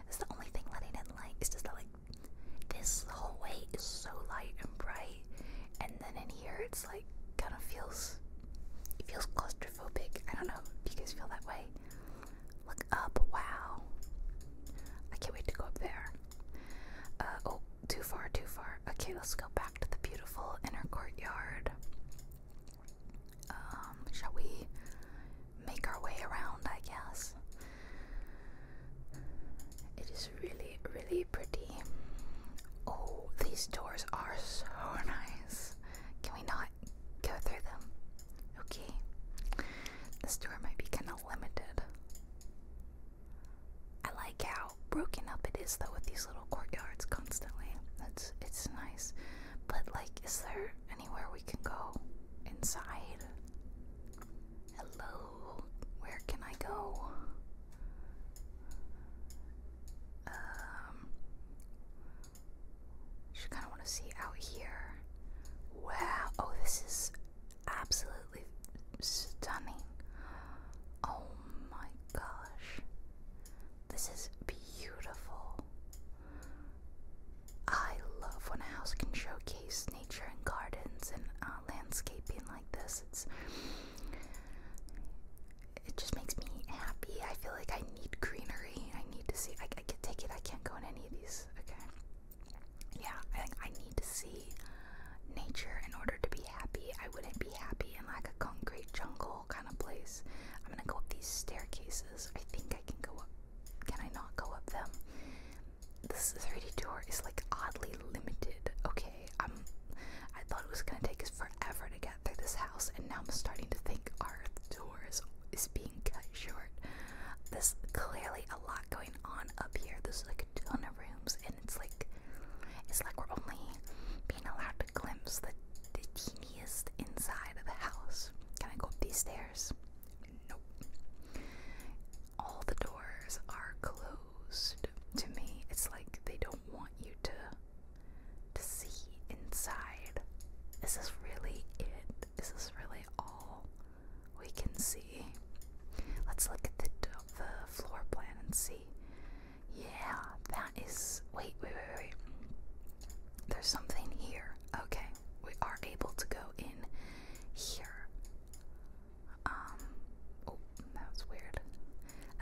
It's the only thing letting in didn't that like this whole way is so light and bright, and then in here it's like kind of feels feels claustrophobic. I don't know. Do you guys feel that way? Look up! Wow! I can't wait to go up there. Uh, oh, too far, too far. Okay, let's go back to the beautiful inner courtyard. Um, shall we make our way around? I guess. It is really, really pretty. Oh, these doors are so nice. Can we not go through them? Okay. This door might be kind of limited. I like how broken up it is though with these little courtyards constantly. That's it's nice. But like is there anywhere we can go inside? Hello, where can I go? Um, just kind of want to see out here. Wow, oh, this is absolutely stunning. Oh my gosh, this is beautiful. I love when a house can showcase nature and gardens and uh, landscaping like this. it just makes me happy. I feel like I need greenery. I need to see. I, can take it. I can't go in any of these. Okay. Yeah, I I need to see nature in order to be happy. I wouldn't be happy in like a concrete jungle kind of place. I'm gonna go up these staircases. I think I can go up. Can I not go up them? this 3D tour is like oddly limited. Okay, I'm. I thought it was gonna take us forever to get through this house, and now I'm starting to think our tour is, is being cut short. There's clearly a lot going on up here. There's like a ton of rooms, and it's like it's like we're only being allowed to glimpse the the teeniest inside of the house. Can I go up these stairs? Nope. All the doors are closed to me. It's like they don't want you to to see inside. Is this really it? Is this really all we can see? Let's look at the the floor plan and see. Yeah, that is. Wait, wait, wait, wait. There's something here. Okay, we are able to go in here. Um, oh, that was weird.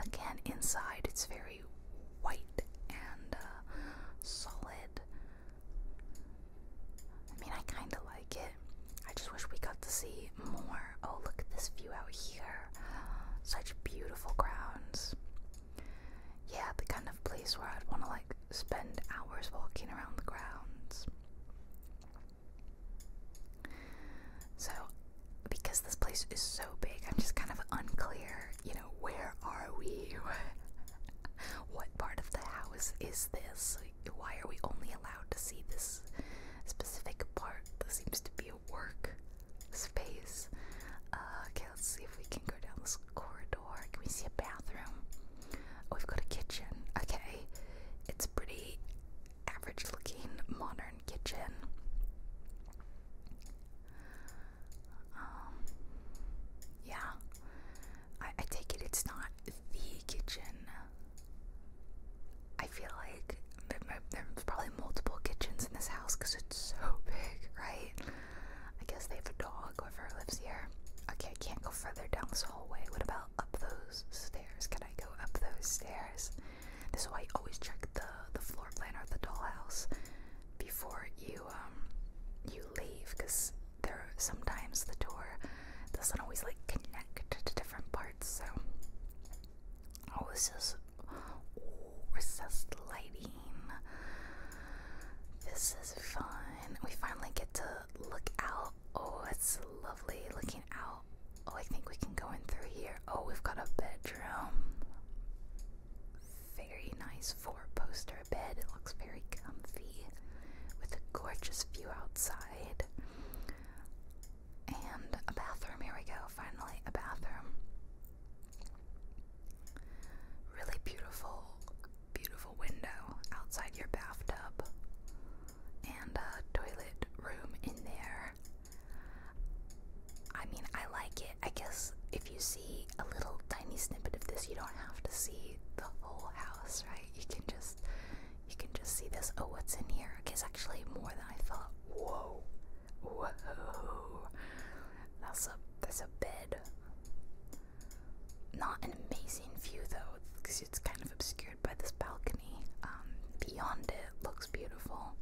Again, inside it's very white and uh, solid. I mean, I kind of like it. I just wish we got to see more. Oh, look at this view out here. Such beautiful grounds. Yeah, the kind of place where I'd want to like spend hours walking around the grounds. So, because this place is so big, I'm just kind of unclear, you know, where are we? what part of the house is this? Why are we only allowed to see this specific part that seems to be a work space? Uh, okay, let's see if we can go down this corridor. Can we see a bathroom? Oh, we've got a kitchen. Okay. It's pretty average looking modern kitchen. Um, yeah. I, I take it it's not the kitchen. I feel like there's probably multiple kitchens in this house because it's so big, right? I guess they have a dog, whoever lives here. Okay, I can't go further down this hallway. What about up those stairs? Can I go up those stairs? This is why you always check the the floor plan or the dollhouse before you um, you leave, because there sometimes the door doesn't always like connect to different parts. So oh, this is recessed lighting. This is fun. We finally get to look out Oh, it's lovely looking out. Oh, I think we can go in through here. Oh, we've got a bedroom. Very nice four poster bed. It looks very comfy with a gorgeous view outside. And a bathroom. Here we go. Finally, a bathroom. Really beautiful, beautiful window outside your bathtub and a toilet room in there. I mean, I like it. I guess if you see a little tiny snippet of this, you don't have to see the whole house, right? You can just you can just see this. Oh, what's in here? Okay, it's actually more than I thought. Whoa, whoa! That's a that's a bed. Not an amazing view though, it's kind of obscured by this balcony. Um, beyond it looks beautiful.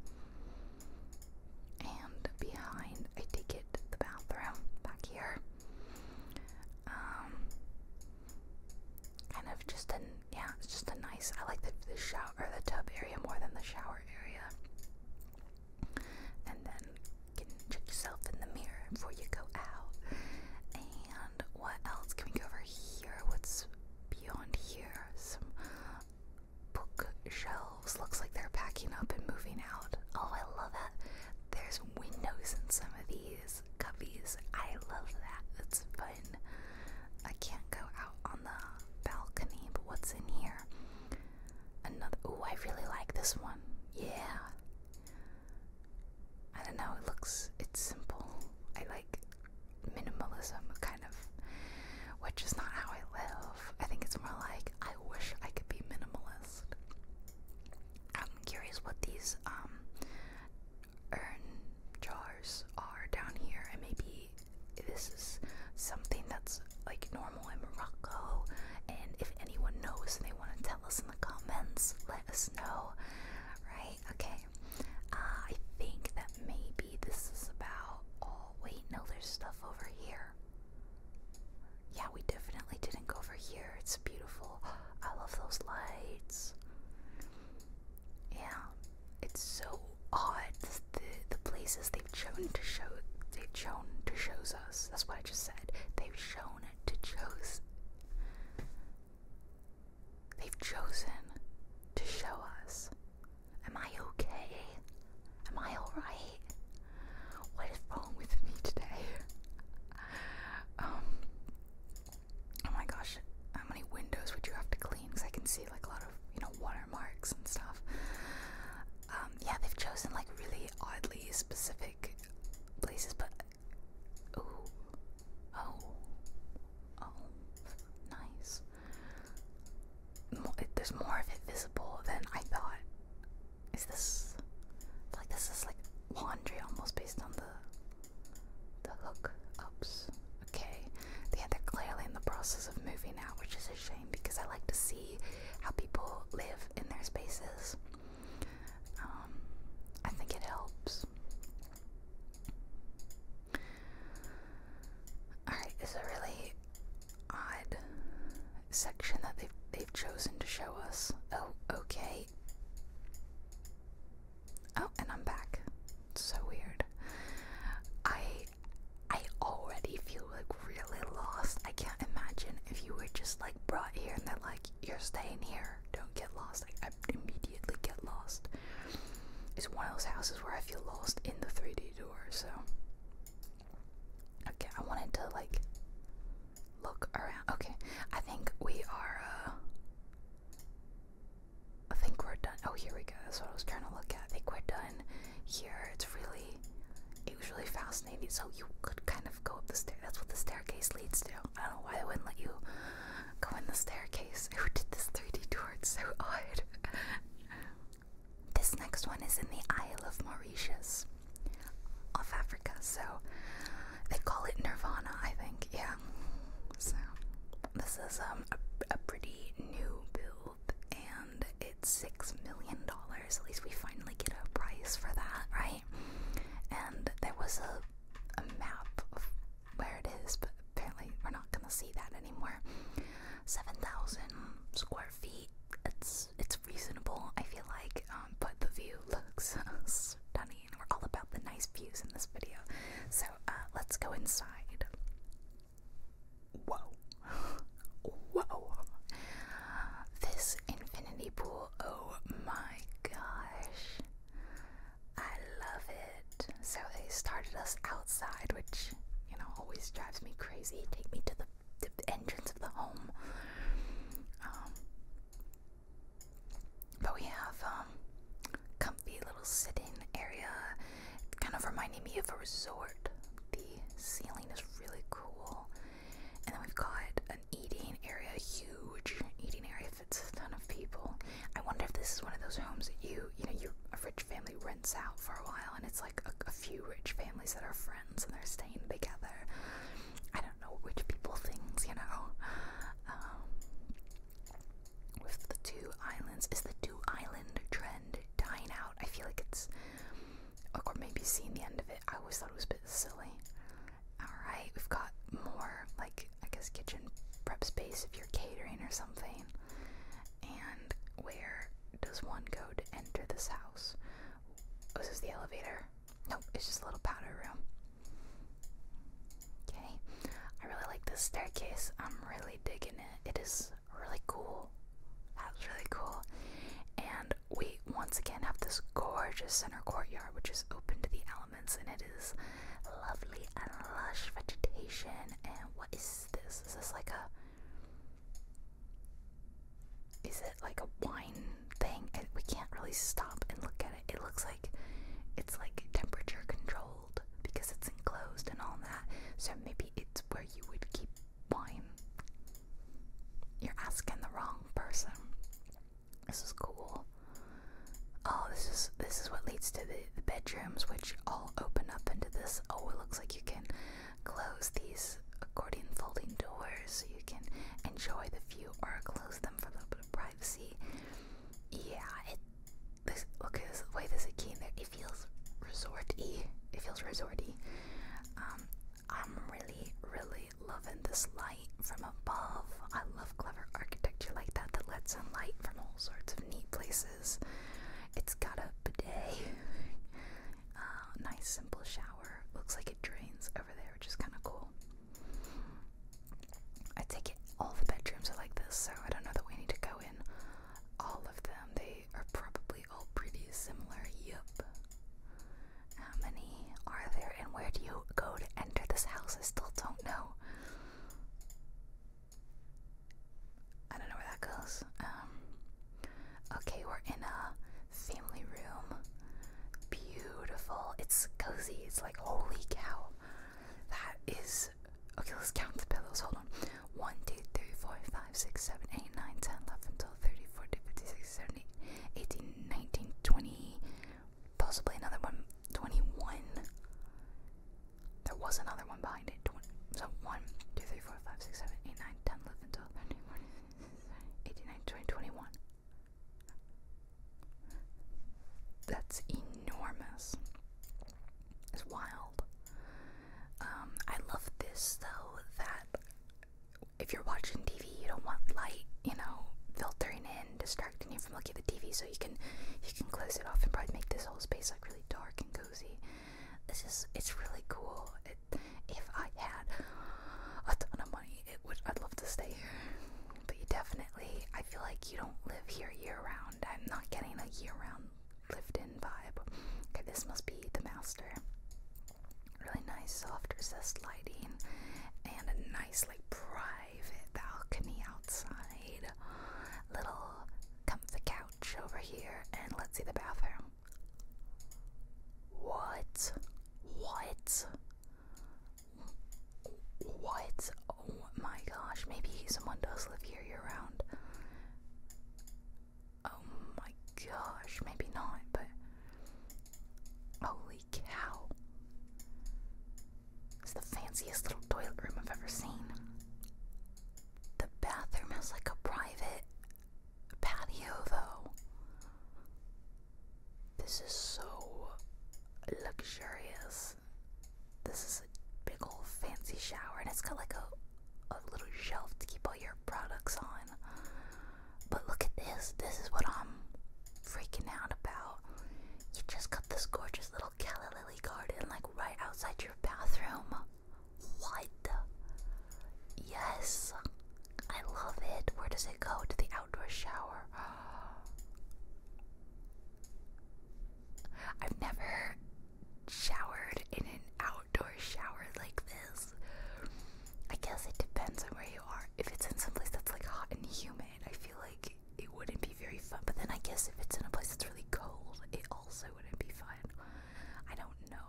And behind, I take it the bathroom back here. Um, kind of just an yeah, it's just a nice. I like the, shower or the tub area more than the shower area. And then check yourself in the mirror before you go out. And what else can we go over? here? What's beyond here? Some bookshelves. Looks like they're packing up and moving out. Oh, I love that. There's windows in some of these cubbies. I love that. That's fun. I can't go out on the balcony, but what's in here? Another. Oh, I really like this one. Yeah. I don't know, it looks, it's simple. I like minimalism, kind of, which is not how I live. I think it's more like, I wish I could be minimalist. I'm curious what these um, urn jars are down here, and maybe this is something that's like normal in Morocco. And if anyone knows and they want to tell us in the comments, let us know. Right? Okay, uh, I think that maybe this is about. Oh, wait, no, there's stuff over here. Yeah, we definitely didn't go over here. It's beautiful. I love those lights. Yeah, it's so odd the the places they've shown to show they've shown to shows us. That's what I just said. They've shown to chose. They've chosen to show us. Am I okay? Am I alright? What is wrong with me today? um, oh my gosh, how many windows would you have to clean? Because I can see like a lot of, you know, watermarks and stuff. Um, yeah, they've chosen like really oddly specific places, but Oh. Oh. Nice. There's more of it visible than I thought. Is this. like this is like laundry almost based on the. the hook ups. Okay. Yeah, they're clearly in the process of moving out, which is a shame because I like to see how people live in their spaces. Um, I think it helps. Alright, it's a really odd section that they've they've chosen to show us. Oh, okay. Oh, and I'm back. It's so weird. I I already feel like really lost. I can't imagine if you were just like brought here and they're like, you're staying here, don't get lost. I immediately get lost. It's one of those houses where I feel lost in the 3D door, so. Okay, I wanted to like look around. Okay, I think we are, uh, I think we're done. Oh, here we go. That's what I was trying to look at. I think we're done here. It's really. It was really fascinating. So you could kind of go up the stair. That's what the staircase leads to. I don't know why they wouldn't let you go in the staircase. Who did this 3D tour? It's so odd. this next one is in the Isle of Mauritius, off Africa. So they call it Nirvana, I think. Yeah. So this is um, a, a pretty new build, and it's six million dollars. At least we finally get a price for that, right? And there was a a map of where it is, but apparently we're not gonna see that anymore. Seven thousand square feet. It's it's reasonable. I feel like, um, but the view looks stunning. We're all about the nice views in this video, so uh, let's go inside. Whoa, whoa! This infinity pool. Oh my gosh! I love it. So they started us outside, which, you know, always drives me crazy. Take me to the, entrance of the home. Um, but we have a um, comfy little sitting area. kind of reminding me of a resort. The ceiling is really cool. And then we've got an eating area, huge eating area, it's a ton of people. I wonder if this is one of those homes that you, you know, you a rich family rents out for a while, and it's like a, few rich families that are friends and they're staying together. I don't know rich people things, you know. Um, with the two islands, is the two island trend dying out? I feel like it's, or maybe seeing the end of it. I always thought it was a bit silly. All right, we've got more I guess kitchen prep space if you're catering or something. And where does one go to enter this house? Oh, this is the elevator? Nope, it's just a little powder room. Okay, I really like this staircase. I'm really digging it. It is really cool. That's really cool. And we once again have this gorgeous center courtyard, which is open to the elements and it is lovely and lush vegetation. And what is this? Is this like a? Is it like a wine thing? And we can't really stop and look at it. It looks like it's like temperature controlled because it's enclosed and all that. So maybe it's where you would keep wine. You're asking the wrong person. This is cool. Oh, this is this is what leads to the, bedrooms, which all open up into this. Oh, it looks like you can close these accordion folding doors so you can enjoy the view, or close them for a little bit of privacy. Yeah, it. This, look at this the way there's a key in there. It feels resorty. It feels resorty. Um, I'm really, really loving this light from above. I love clever architecture like that that lets in light from all sorts of neat places. It's got a bidet, uh, nice simple shower. Looks like it drains over there, which is kind of cool. I take it all the bedrooms are like this, so I don't know that we need to go in all of them. They are probably all pretty similar. Yep. How many are there, and where do you go to enter this house? I still don't know. I don't know where that goes. Um, okay, we're in a family room. Beautiful. It's cozy. It's like, holy cow. That is. Okay, let's count the pillows. Hold on. 1, 2, 3, 4, 5, 6, 7, 8, 9, 10, 11, 12, 30, 40, 50, 60, 70, 18, 19, Possibly another one. 21. There was another one behind it. 20. So 1, 2, 3, 4, 5, 6, 7, 8, 9, 10, 11, 12, 13, 14, 18, 19, 20, 21. That's enormous. It's wild. Um, I love this though that if you're watching TV, you don't want light, you know, filtering in distracting you from looking at the TV so you can you can close it off and probably make this whole space like really dark and cozy. This is it's really cool. if I had a ton of money, it would I'd love to stay here. But you definitely I feel like you don't live here year round. I'm not getting a year round lived in vibe. Okay, this must be the master. Really nice soft recessed lighting and a nice like bright private balcony outside. Little comfy couch over here, and let's see the bathroom. What? What? What? Oh my gosh, maybe someone does live here year round. Oh my gosh, maybe not, but. Holy cow. It's the fanciest little toilet room I've ever seen. The bathroom has like a private patio, though. This is so luxurious. This is a big old fancy shower, and it's got like a, a little shelf to keep all your products on. But look at this. This is what I'm freaking out about. You just got this gorgeous little calla lily garden like right outside your bathroom. What? Yes, I love it. Where does it go? To the outdoor shower. I've never showered in an outdoor shower like this. I guess it depends on where you are. If it's in some place that's like hot and humid, I feel like it wouldn't be very fun. But then I guess if it's in a place that's really cold, it also wouldn't be fun. I don't know.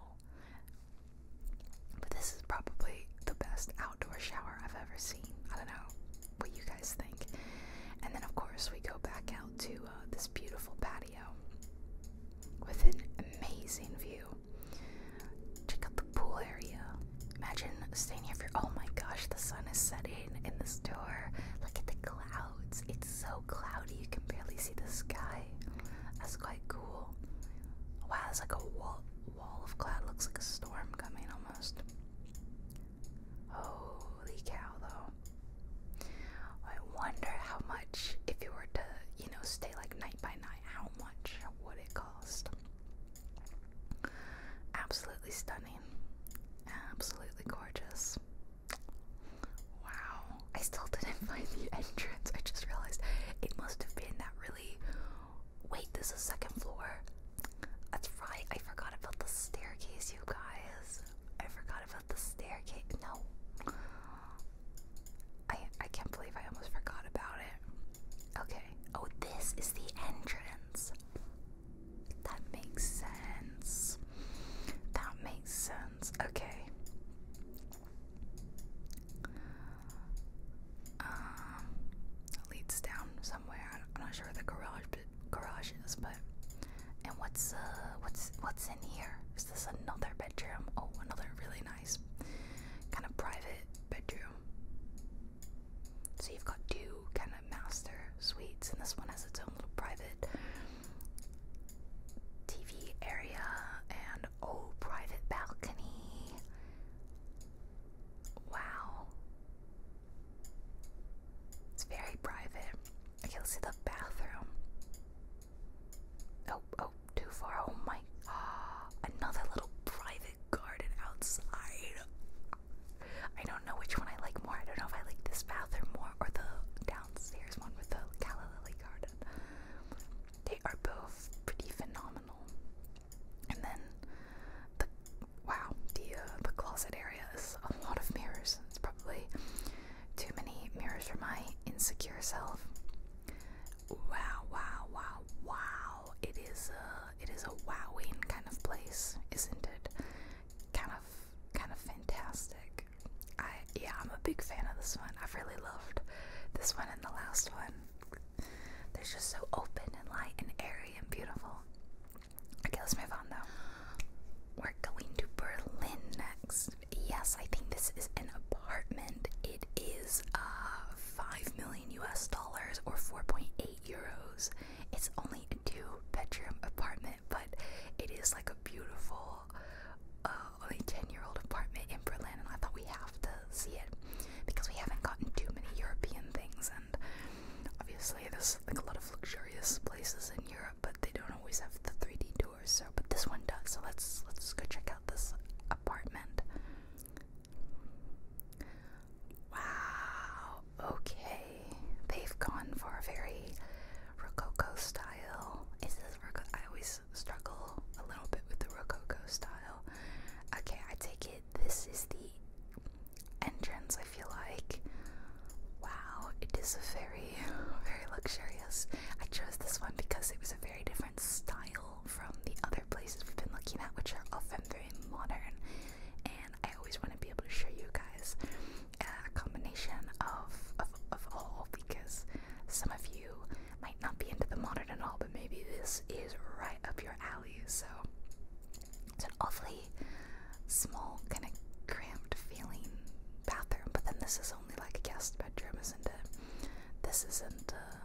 But this is probably the best outdoor shower I've ever seen. I don't know what you guys think. And then, of course, we go back out to uh, this beautiful patio with an amazing view. Check out the pool area. Imagine staying here for oh my gosh, the sun is setting in the store. Look at the clouds. It's so cloudy you can barely see the sky. That's quite cool. Wow, it's like a wall wall of cloud. Looks like a storm coming almost. Holy cow though. I wonder how much if you were to, you know, stay like night by night, how much would it cost? Absolutely stunning stunning. Absolutely gorgeous. Wow. I still didn't find the entrance. I just realized it must have been that really. Wait, this is second floor. That's right. I forgot about the staircase, you guys. I forgot about the staircase. No. I I can't believe I almost forgot about it. Okay. Oh, this is the entrance. That makes sense. That makes sense. Okay. Um, leads down somewhere. I'm not sure where the garage but garage is, but and what's uh what's what's in here? Is this another bedroom? Oh, another really nice kind of private bedroom. So you've got two kind of master suites, and this one has its own little private TV area and oh, private balcony. Wow. It's very private. Okay, let's see the bathroom. Oh, oh, too far. Oh my. Ah, Another little private garden outside. I don't know which one I like more. I don't know if I like this bathroom more or the downstairs one with the Calla Lily Garden. They are both pretty phenomenal. And then the wow, the uh, the closet area is a lot of mirrors. It's probably too many mirrors for my insecure self. Wow, wow, wow, wow. It is a it is a wowing kind of place, isn't it? Kind of kind of fantastic. I yeah, I'm a big fan of this one. I've really loved this one and the last one. They're just so open and light and airy and beautiful. Okay, let's move on though. We're going to Berlin next. Yes, I think this is an apartment. It is uh, 5 million US dollars or 4.8 euros. It's only a two bedroom apartment, but it is like a beautiful, uh, only 10 year old apartment in Berlin, and I thought we have to see it because we haven't gotten too many European things, and obviously there's like a lot of luxurious places in Europe, but they don't always have the 3D tours. So, but this one does. So let's let's go check out this apartment. Wow, okay. They've gone for a very Rococo style. Is this Rococo? I always struggle a little bit with the Rococo style. Okay, I take it. This is the entrance, I feel like. Wow, it is a very, very luxurious. I chose this one because it was a very different style from the other places we've been looking at, which are often very modern. And I always want to be able to show you guys a combination of, of, of all because some of you might not be into the modern at all, but maybe this is right up your alley. So it's an awfully small, kind of cramped feeling bathroom. But then this is only like a guest bedroom, isn't it? This isn't uh,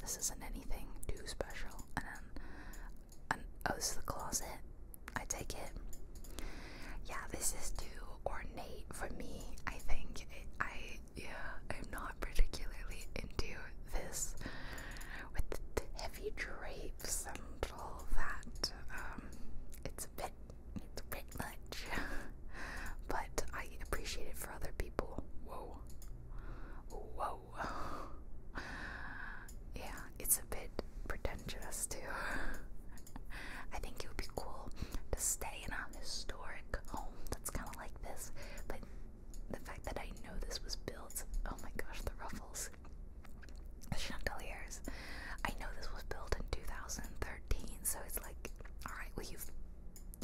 this isn't anything too special. And then an O's oh, the Closet. I take it. Yeah, this is too ornate for me. I think it, I yeah, I'm not particularly into this with the heavy drapes and all that. Um, it's a bit, it's a bit much, but I appreciate it for other people. Whoa, whoa, yeah it's a bit pretentious too. I think it would be cool to stay in a historic home that's kind of like this, Like the fact that I know this was built oh my gosh, the ruffles, the chandeliers. I know this was built in 2013, so it's like, alright, well, you've,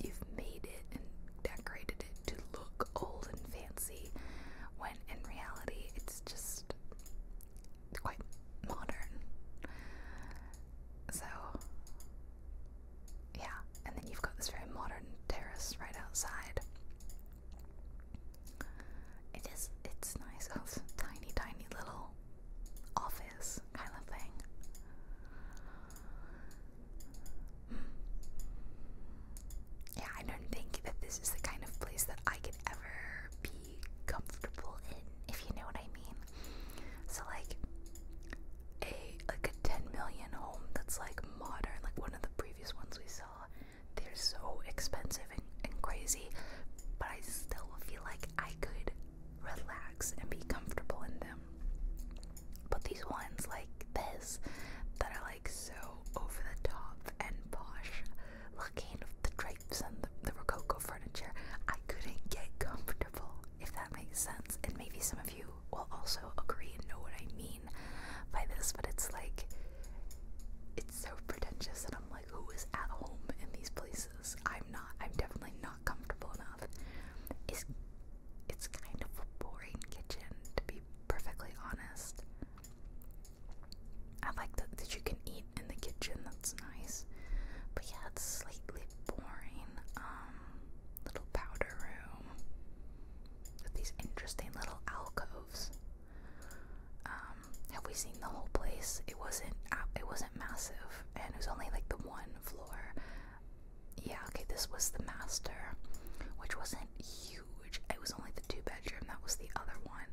you've made it and decorated it to look old and fancy when in reality it's just quite modern. So, yeah, and then you've got this very modern terrace right outside. It is, it's nice. Oh, it's tiny, tiny little office kind of thing. Hmm. Yeah, I don't think that this is the kind of place that I could ever be comfortable in, if you know what I mean. So like a like a 10 million home that's like modern, like one of the previous ones we saw, they're so expensive and, and crazy, but I still feel like I could relax and be comfortable in them. But these ones like this that are like so over the top and posh, looking at the drapes and the, Rococo furniture, I couldn't get comfortable, if that makes sense. And maybe some of you will also agree and know what I mean by this, but it's like, it's so pretentious, and I'm like, who is at home in these places? I'm not. I'm definitely not comfortable enough. It's, it's kind of a boring kitchen, to be perfectly honest. I like that, that you can eat in the kitchen, that's nice. But yeah, it's slightly boring. Um, little powder room with these interesting little alcoves. Um, have we seen the whole place? It wasn't uh, it wasn't massive, and it was only like the one floor. Yeah, okay, this was the master, which wasn't huge. It was only the two bedroom. That was the other one.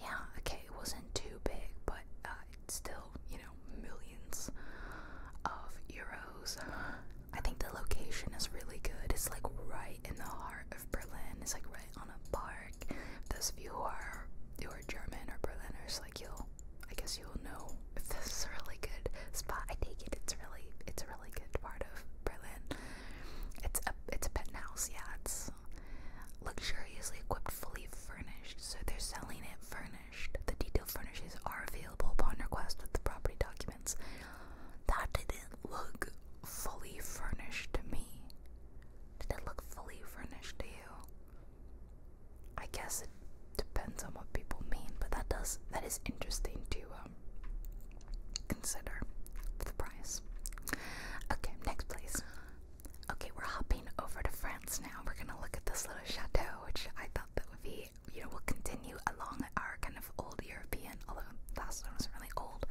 Yeah, okay it wasn't too big, but uh, it's still, you know, millions of euros. I think the location is really good. It's like right in the heart of Berlin. It's like right on a park. those of you who are who are German or Berliners, like you'll, I guess you'll know this is a really good spot. I take it it's really, it's a really good part of Berlin. It's a, it's a penthouse, yeah. It's Luxuriously equipped, fully furnished, so they're selling it furnished. The detailed furnishings are available upon request with the property documents. That didn't look fully furnished to me. Did it look fully furnished to you? I guess it depends on what people mean, but that does that is interesting to um, consider for the price. Okay, next place. Okay, we're hopping over to France now. We're gonna look at this little chateau, which I thought that would be, you know, we'll continue along our kind of old European, although the last one wasn't really old.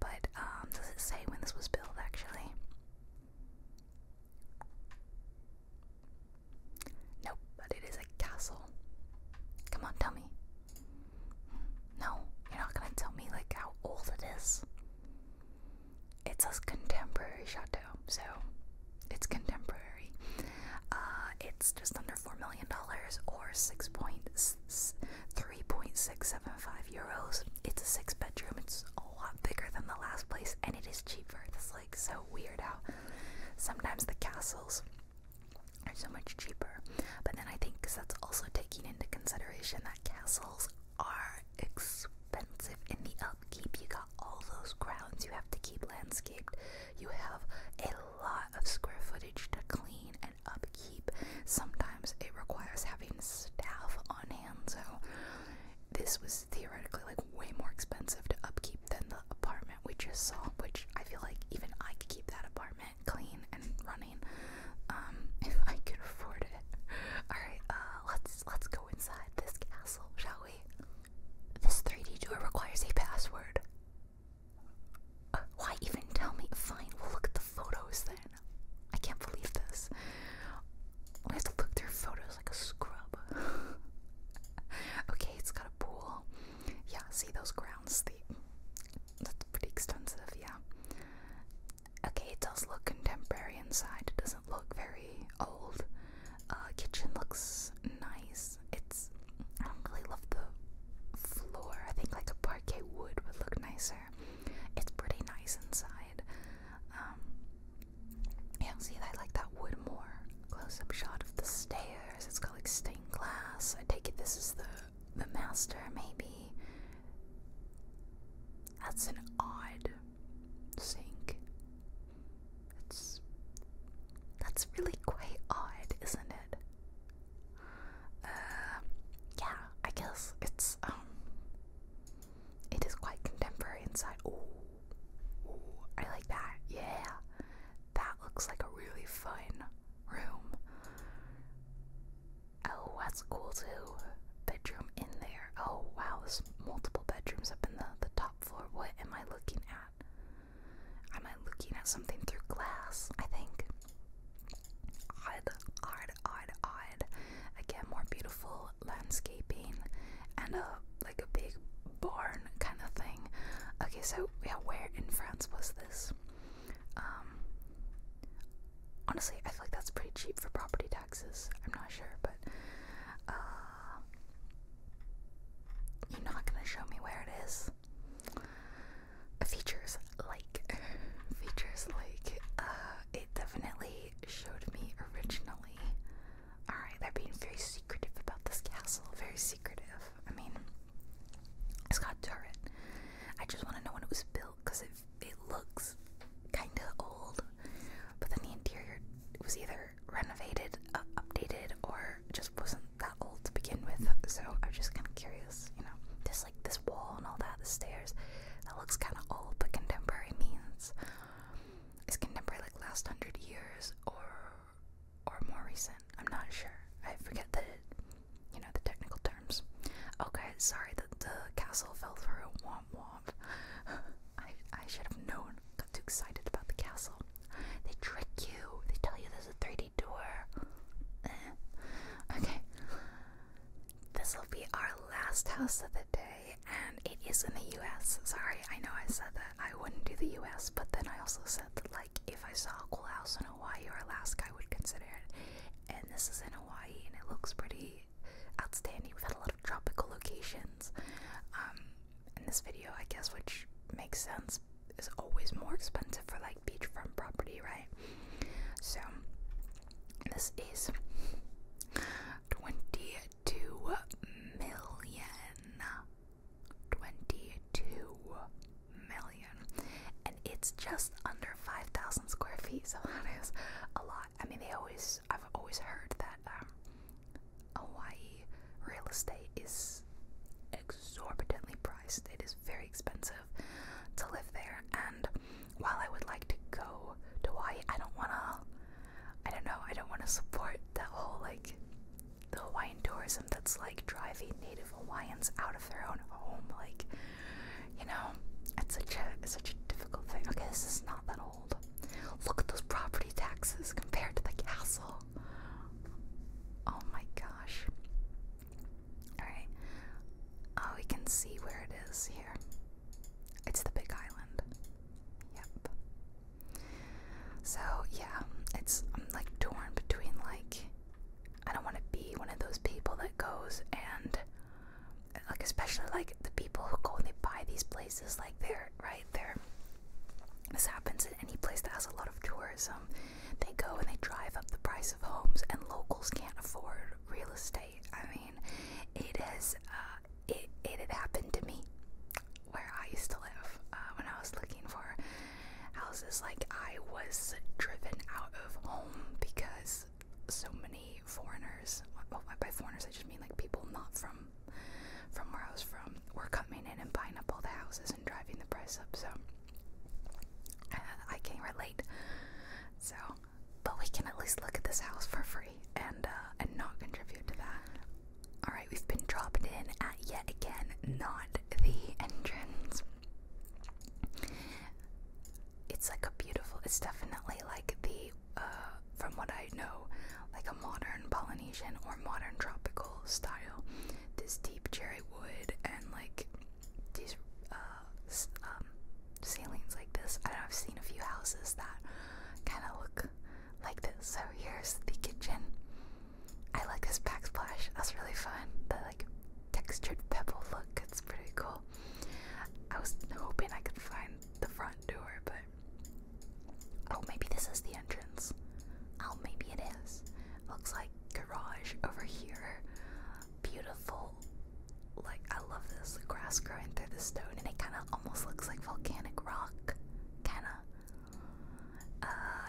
But um, does it say when this was built actually? no. but it is a castle. Come on, tell me. No, you're not gonna tell me like how old it is. It's a contemporary chateau, so it's contemporary. Uh, it's just under four million dollars, or six point three point six seven five euros. It's a six bedroom. It's a lot bigger than the last place, and it is cheaper. It's like so weird how sometimes the castles are so much cheaper. But then I think because that's also taking into consideration that castles are expensive in the upkeep. You got all those grounds you have to keep landscaped. You have a lot of square footage to clean and upkeep. Sometimes it requires having staff on hand, so this was theoretically like way more expensive to upkeep than the apartment we just saw, which I feel like even I could keep that apartment clean and running um if I can afford it. Alright, uh let's let's go inside this castle, shall we? This 3D door requires a password. Uh, why even tell me? Fine, we'll look at the photos then. I can't believe this. We have to look through photos like a scrub. okay, it's got a pool. Yeah, see those grounds? that's pretty extensive, yeah. Okay, it does look contemporary inside. It doesn't look very old. Uh, kitchen looks nice. It's I really love the floor. I think like a parquet wood would look nicer. It's pretty nice inside. Um, yeah, see, I like that wood more. Close-up shot of the stairs. It's got like stained glass. I take it this is the the master maybe that's an odd sink it's that's really quite odd isn't it uh, yeah i guess it's um, it is quite contemporary inside oh i like that yeah that looks like a really fun room Oh, that's cool too. Bedroom in there. Oh wow, there's multiple bedrooms up in the, the top floor. What am I looking at? Am I looking at something through glass? I think. Odd, odd, odd, odd. Again, more beautiful landscaping and a like a big barn kind of thing. Okay, so yeah, where in France was this? Um honestly, I feel like that's pretty cheap for property taxes. I'm not sure, but uh, you're not gonna show me where it is. Features like, features like, uh, it definitely showed me originally. Alright, they're being very secretive about this castle. Very secretive. I mean, it's got a turret. I just want to know when it was built because it it looks kind of old, but then the interior was either renovated, uh, updated, or just wasn't that old to begin with. So I'm just kind of curious, you know, this like this wall and all that, the stairs, that looks kind of old, but contemporary means is contemporary like last hundred years or or more recent. I'm not sure. I forget that you know, the technical terms. Okay, sorry that the castle fell through. Womp womp. I, I should have known. Got too excited about the castle. They trick you. They tell you there's a 3D door. Eh. Okay. This will be our last house of the day, and it is in the US. Sorry, I know I said that I wouldn't do the US, but then I also said that, like, if I saw a cool house in Hawaii or Alaska, I would consider it. And this is in Hawaii, and it looks pretty outstanding. We've had a lot of tropical locations. in um, this video, I guess, which makes sense, is always more expensive for like beachfront property, right? So, this is 22 million. 22 million and it's just under 5,000 square feet, so that is a lot. I mean, they always, I've always heard that um, Hawaii real estate is exorbitantly priced. It is very expensive to live there, and while I would like to go to Hawaii, I don't want to, I don't know, I don't want to support that whole like the Hawaiian tourism that's like driving native Hawaiians out of their own home. Like, you know, it's such a such a difficult thing. Okay, this is not that old. Look at those property taxes compared to the castle. Oh my gosh. Alright. Oh, we can see where it is here. It's the big island. Yep. So, yeah, it's I'm um, like torn between like I don't want to be one of those people that goes and like especially like the people who go and they buy these places like they're right there this happens in any place that has a lot of tourism they go and they drive up the price of homes and locals can't afford real estate i mean it is uh, it, it had happened to me where i used to live uh, when i was looking for houses like i was driven out of home because so many foreigners. Oh, by foreigners, I just mean like people not from from where I was from were coming in and buying up all the houses and driving the price up. So I can relate. So, but we can at least look at this house for free and uh, and not contribute to that. All right, we've been dropped in at yet again, not the entrance it's like a beautiful it's definitely like the uh from what I know like a modern Polynesian or modern tropical style this deep cherry wood and like these uh um ceilings like this I I've seen a few houses that kind of look like this so here's the kitchen I like this backsplash that's really fun the like textured pebble look it's pretty cool I was hoping I could find the front door, but oh, maybe this is the entrance. Oh, maybe it is. Looks like garage over here. Beautiful. Like, I love this grass growing through the stone, and it kind of almost looks like volcanic rock. Kinda. Uh,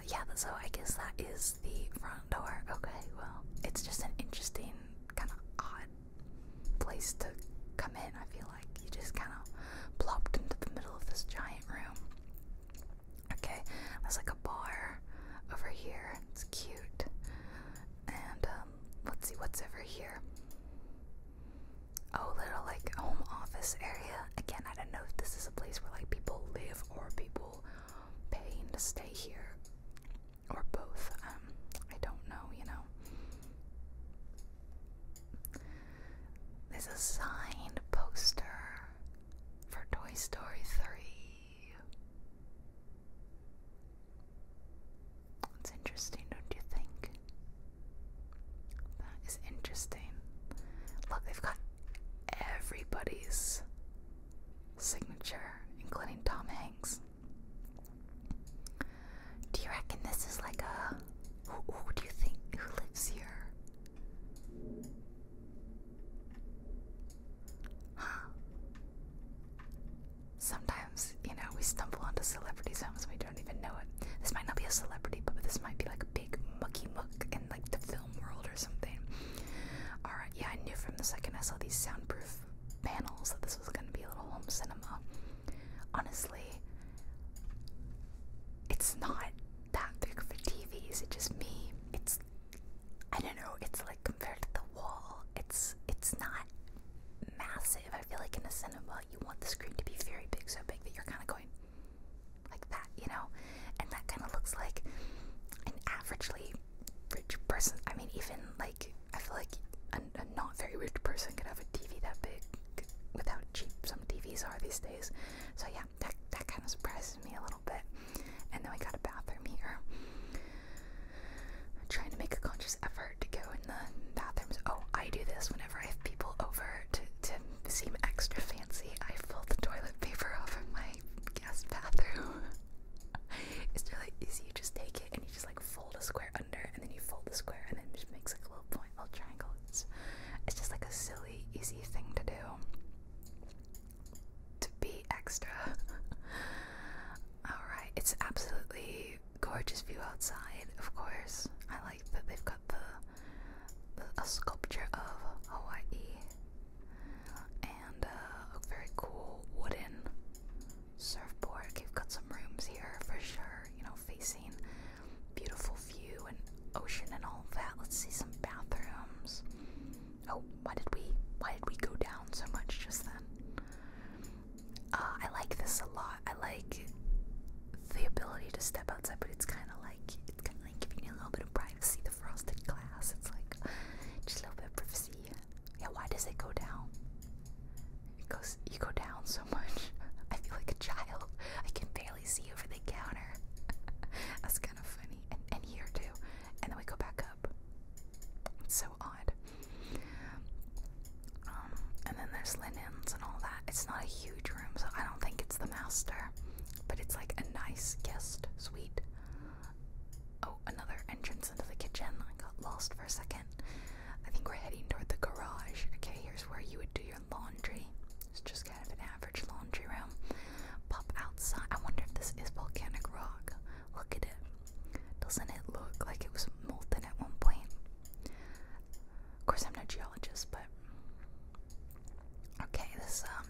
yeah, so I guess that is the front door. Okay, well, it's just an interesting, kind of odd place to come in. I feel like you just kind of plopped into the middle of this giant room. Okay, there's like a bar over here. It's cute. And um, let's see what's over here. Oh, little like home office area. Again, I don't know if this is a place where like people live or people paying to stay here or both. Um, I don't know, you know. There's a signed poster for Toy Story 3. It's interesting, don't you think? That is interesting. Look, they've got everybody's signature, including Tom Hanks. Do you reckon this is like a. Who, do you think who lives here? Huh. Sometimes, you know, we stumble onto celebrities' homes and we don't even know it. This might not be a celebrity, but this might be like a big mucky muck in like the film world or something. Alright, yeah, I knew from the second I saw these soundproof panels that this was going to be a little home cinema. Honestly, it's not that big for TVs. It's just me. It's I don't know. It's like compared to the wall, it's it's not massive. I feel like in a cinema, you want the screen to be very big, so big that you're kind of going like that, you know. And that kind of looks like an averagely rich person. I mean, even like I feel like a, not very rich person could have a TV that big with how cheap some TVs are these days. So yeah, that that kind of surprises me a little bit. And then we got a bathroom here. I'm trying to make a conscious effort to go in the bathrooms. Oh, I do this whenever I have people over to to seem extra fancy. I fold the toilet paper off of my guest bathroom. it's really easy. You just take it and you just like fold a square under, and then you fold the square, and then it just makes like a little point, little triangle. It's, it's just like a silly, easy thing to do. To be extra. Alright, it's absolutely gorgeous view outside, of course. I like that they've got the, a sculpture of Hawaii and uh, a very cool wooden surfboard. Okay, we've got some rooms here for sure, you know, facing beautiful view and ocean and all that. Let's see some bathrooms. Oh, why did we why did we go down so much just then? Uh, I like this a lot. I like the ability to step outside, but it's kind of like it's kind of like giving you a little bit of privacy. The frosted glass, it's like just a little bit of privacy. Yeah, why does it go down? It goes, you go down so much. I feel like a child. I can barely see over the counter. That's kind of funny. And, and here too. And then we go back up. It's so odd. Um, and then there's linens and all that. It's not a huge room, so I don't think it's the master. But it's like a nice guest suite another entrance into the kitchen. I got lost for a second. I think we're heading toward the garage. Okay, here's where you would do your laundry. It's just kind of an average laundry room. Pop outside. I wonder if this is volcanic rock. Look at it. Doesn't it look like it was molten at one point? Of course, I'm no geologist, but okay, this um,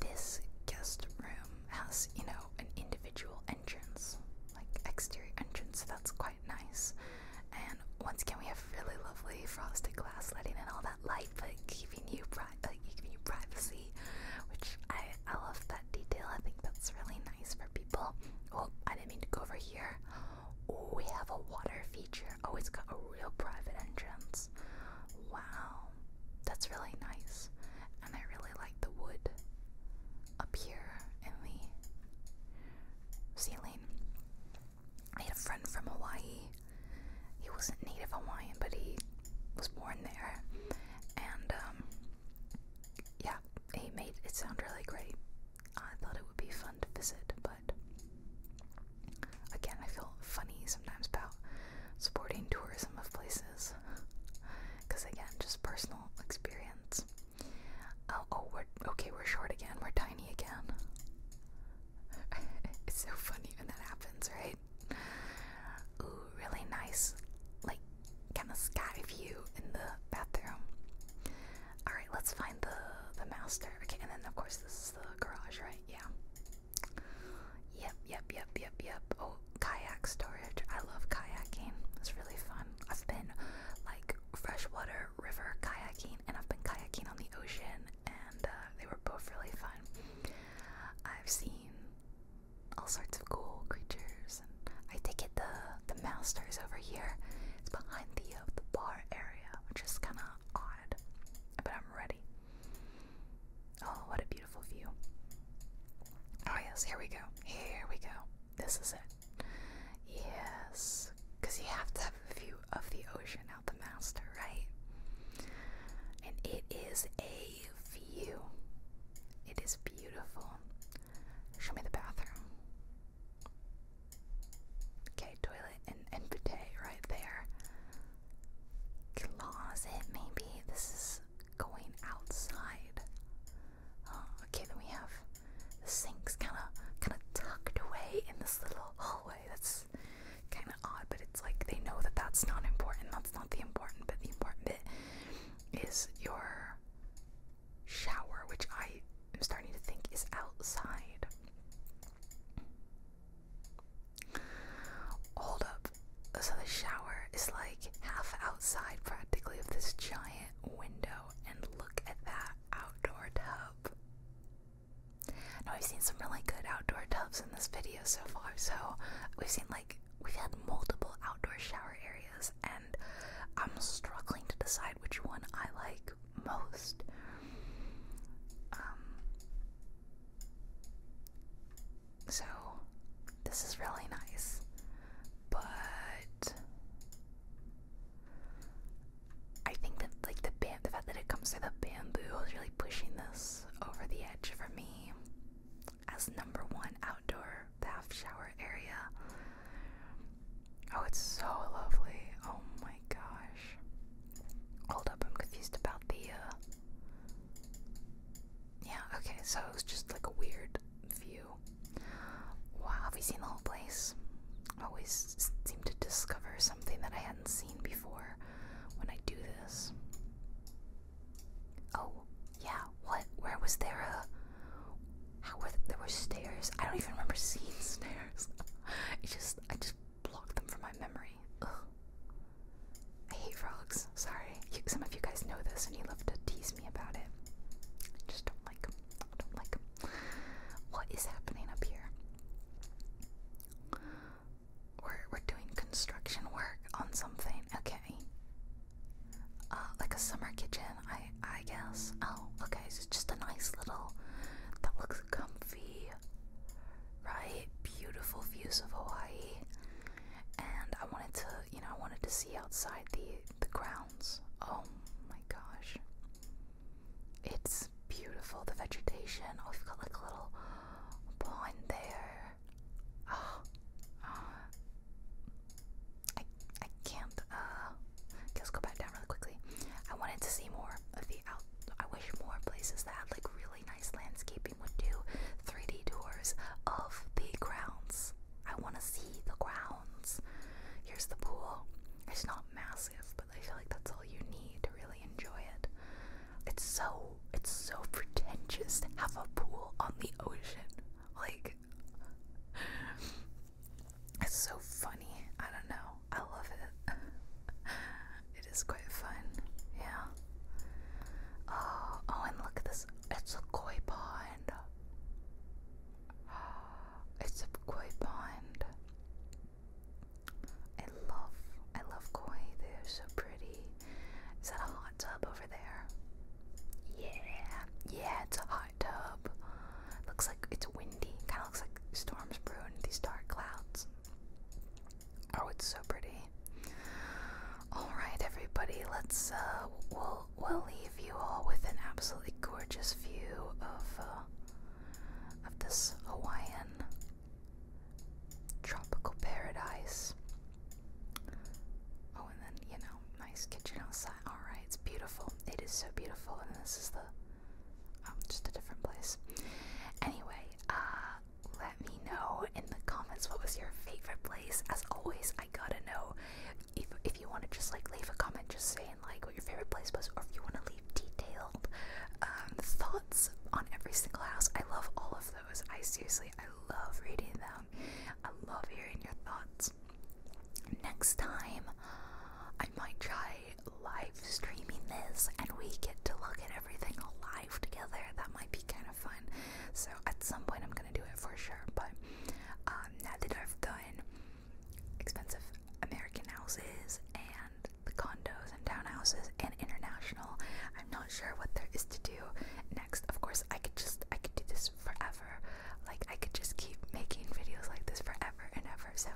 this guest room has you know an individual entrance, like exterior entrance, so that's quite nice. And once again, we have really lovely frosted glass letting in all that light, but giving you pri uh, giving you privacy, which I I love that detail. I think that's really nice for people. Oh, I didn't mean to go over here. Oh, we have a water feature. Oh, it's got a real private entrance. Wow, that's really nice, and I really like the wood up here in the ceiling. I had a friend from Hawaii. He wasn't native Hawaiian, but he was born there. And, um, yeah, he made it sound really great. I thought it would be fun to visit, but again, I feel funny sometimes about supporting tourism of places because again, just personal experience. Oh, oh, we're okay, we're short again, we're tiny again. it's so funny when that happens, right? Ooh, really nice, like, kind of sky view in the bathroom. Alright, let's find the, the master. Okay, and then of course this is the garage, right? Yeah. Yep, yep, yep, yep, yep. Oh, kayak storage. I love kayaking. It's really fun. I've been like freshwater river kayaking and I've been kayaking on the ocean and uh, they were both really fun. I've seen all sorts of cool creatures and I think it the master is over here. It's behind the uh, the bar area, which is kinda odd. But I'm ready. Oh, what a beautiful view. Oh yes, here we go. Here we go. This is it. Yes, because you have to have a view of the ocean out the master, right? And it is a view. It is beautiful. Show me the bathroom. Okay, toilet and, and bidet right there. Closet, maybe. This is going outside. Oh, okay, then we have the sinks kind of kind of tucked away in this little hallway. That's kind of odd, but it's like they know that that's not important. That's not the important but The important bit is your shower, which I am starting to think is outside. Hold up. So the shower is like half outside practically of this giant window and look at that outdoor tub. Now, I've seen some really good outdoor tubs in this video so far, so we've seen like we've had multiple outdoor shower areas, and I'm struggling to decide which one I like most. Um, so, this is really nice but I think that like the bam the fact that it comes to the bamboo is really pushing this over the edge for me as number one outdoor bath shower area. Oh, it's so lovely. Oh my gosh. Hold up, I'm confused about the uh, Yeah, okay, so it's just like a weird view. Wow, have we seen the whole place? Always seem to discover something that I hadn't seen before when I do this. Oh, yeah. What? Where was there a? How were there were stairs? I don't even remember seeing stairs. I just I just blocked them from my memory. Ugh. I hate frogs. Sorry some of you guys know this and you love to tease me about it. I just don't like don't like What is happening up here? We're, we're doing construction work on something. Okay. Uh, like a summer kitchen, I, I guess. Oh, okay. So it's just a nice little. That looks comfy. Right? Beautiful views of Hawaii. And I wanted to, you know, I wanted to see outside the the grounds. Oh my gosh. It's beautiful, the vegetation. Oh, we've got like a little pond there. Oh, uh, I, I can't, uh, okay, go back down really quickly. I wanted to see more of the out, I wish more places that had like really nice landscaping would do 3D tours of the grounds. I want to see the grounds. Here's the pool. It's not massive, but I feel like that's all you need to really enjoy it. It's so it's so pretentious to have a pool on the ocean. Like it's so funny. I don't know. I love it. it is quite fun. Yeah. Oh, oh, and look at this. It's a koi pond. It's a koi pond. I love, I love koi. They're so pretty. Is that a hot tub over there? Yeah, yeah, it's a hot tub. Looks like it's windy. Kind of looks like storms brewing. These dark clouds. Oh, it's so pretty. All right, everybody. Let's uh, we'll leave you all with an absolutely gorgeous view of uh, of this Hawaiian tropical paradise. Oh, and then you know, nice kitchen outside. All right, it's beautiful. It is so beautiful, and this is the um, just a different place. Anyway, uh, let me know in the comments what was your favorite place. As always, I gotta know if if you want to just like leave a comment just saying like what your favorite place was or if you want to leave detailed um, thoughts on every single house i love all of those i seriously i love reading them i love hearing your thoughts next time i might try live streaming this and we get to look at everything live together that might be kind of fun so at some point i'm gonna do it for sure but um, now that I've done expensive American houses and the condos and townhouses and international, I'm not sure what there is to do next. Of course, I could just I could do this forever. Like I could just keep making videos like this forever and ever. So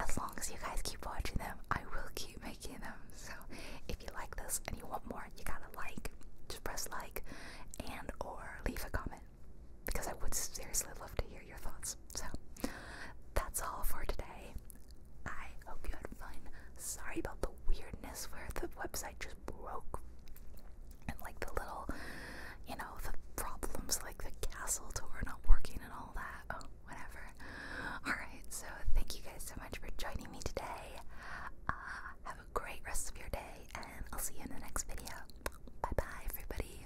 as long as you guys keep watching them, I will keep making them. So if you like this and you want more, you gotta like. Just press like and or leave a comment because I would seriously love to hear your thoughts. So that's all for today. I hope you had fun. Sorry about the weirdness where the website just broke and like the little, you know, the problems like the castle tour not working and all that. Oh, whatever. Alright, so thank you guys so much for joining me today. Uh, have a great rest of your day, and I'll see you in the next video. Bye bye, everybody.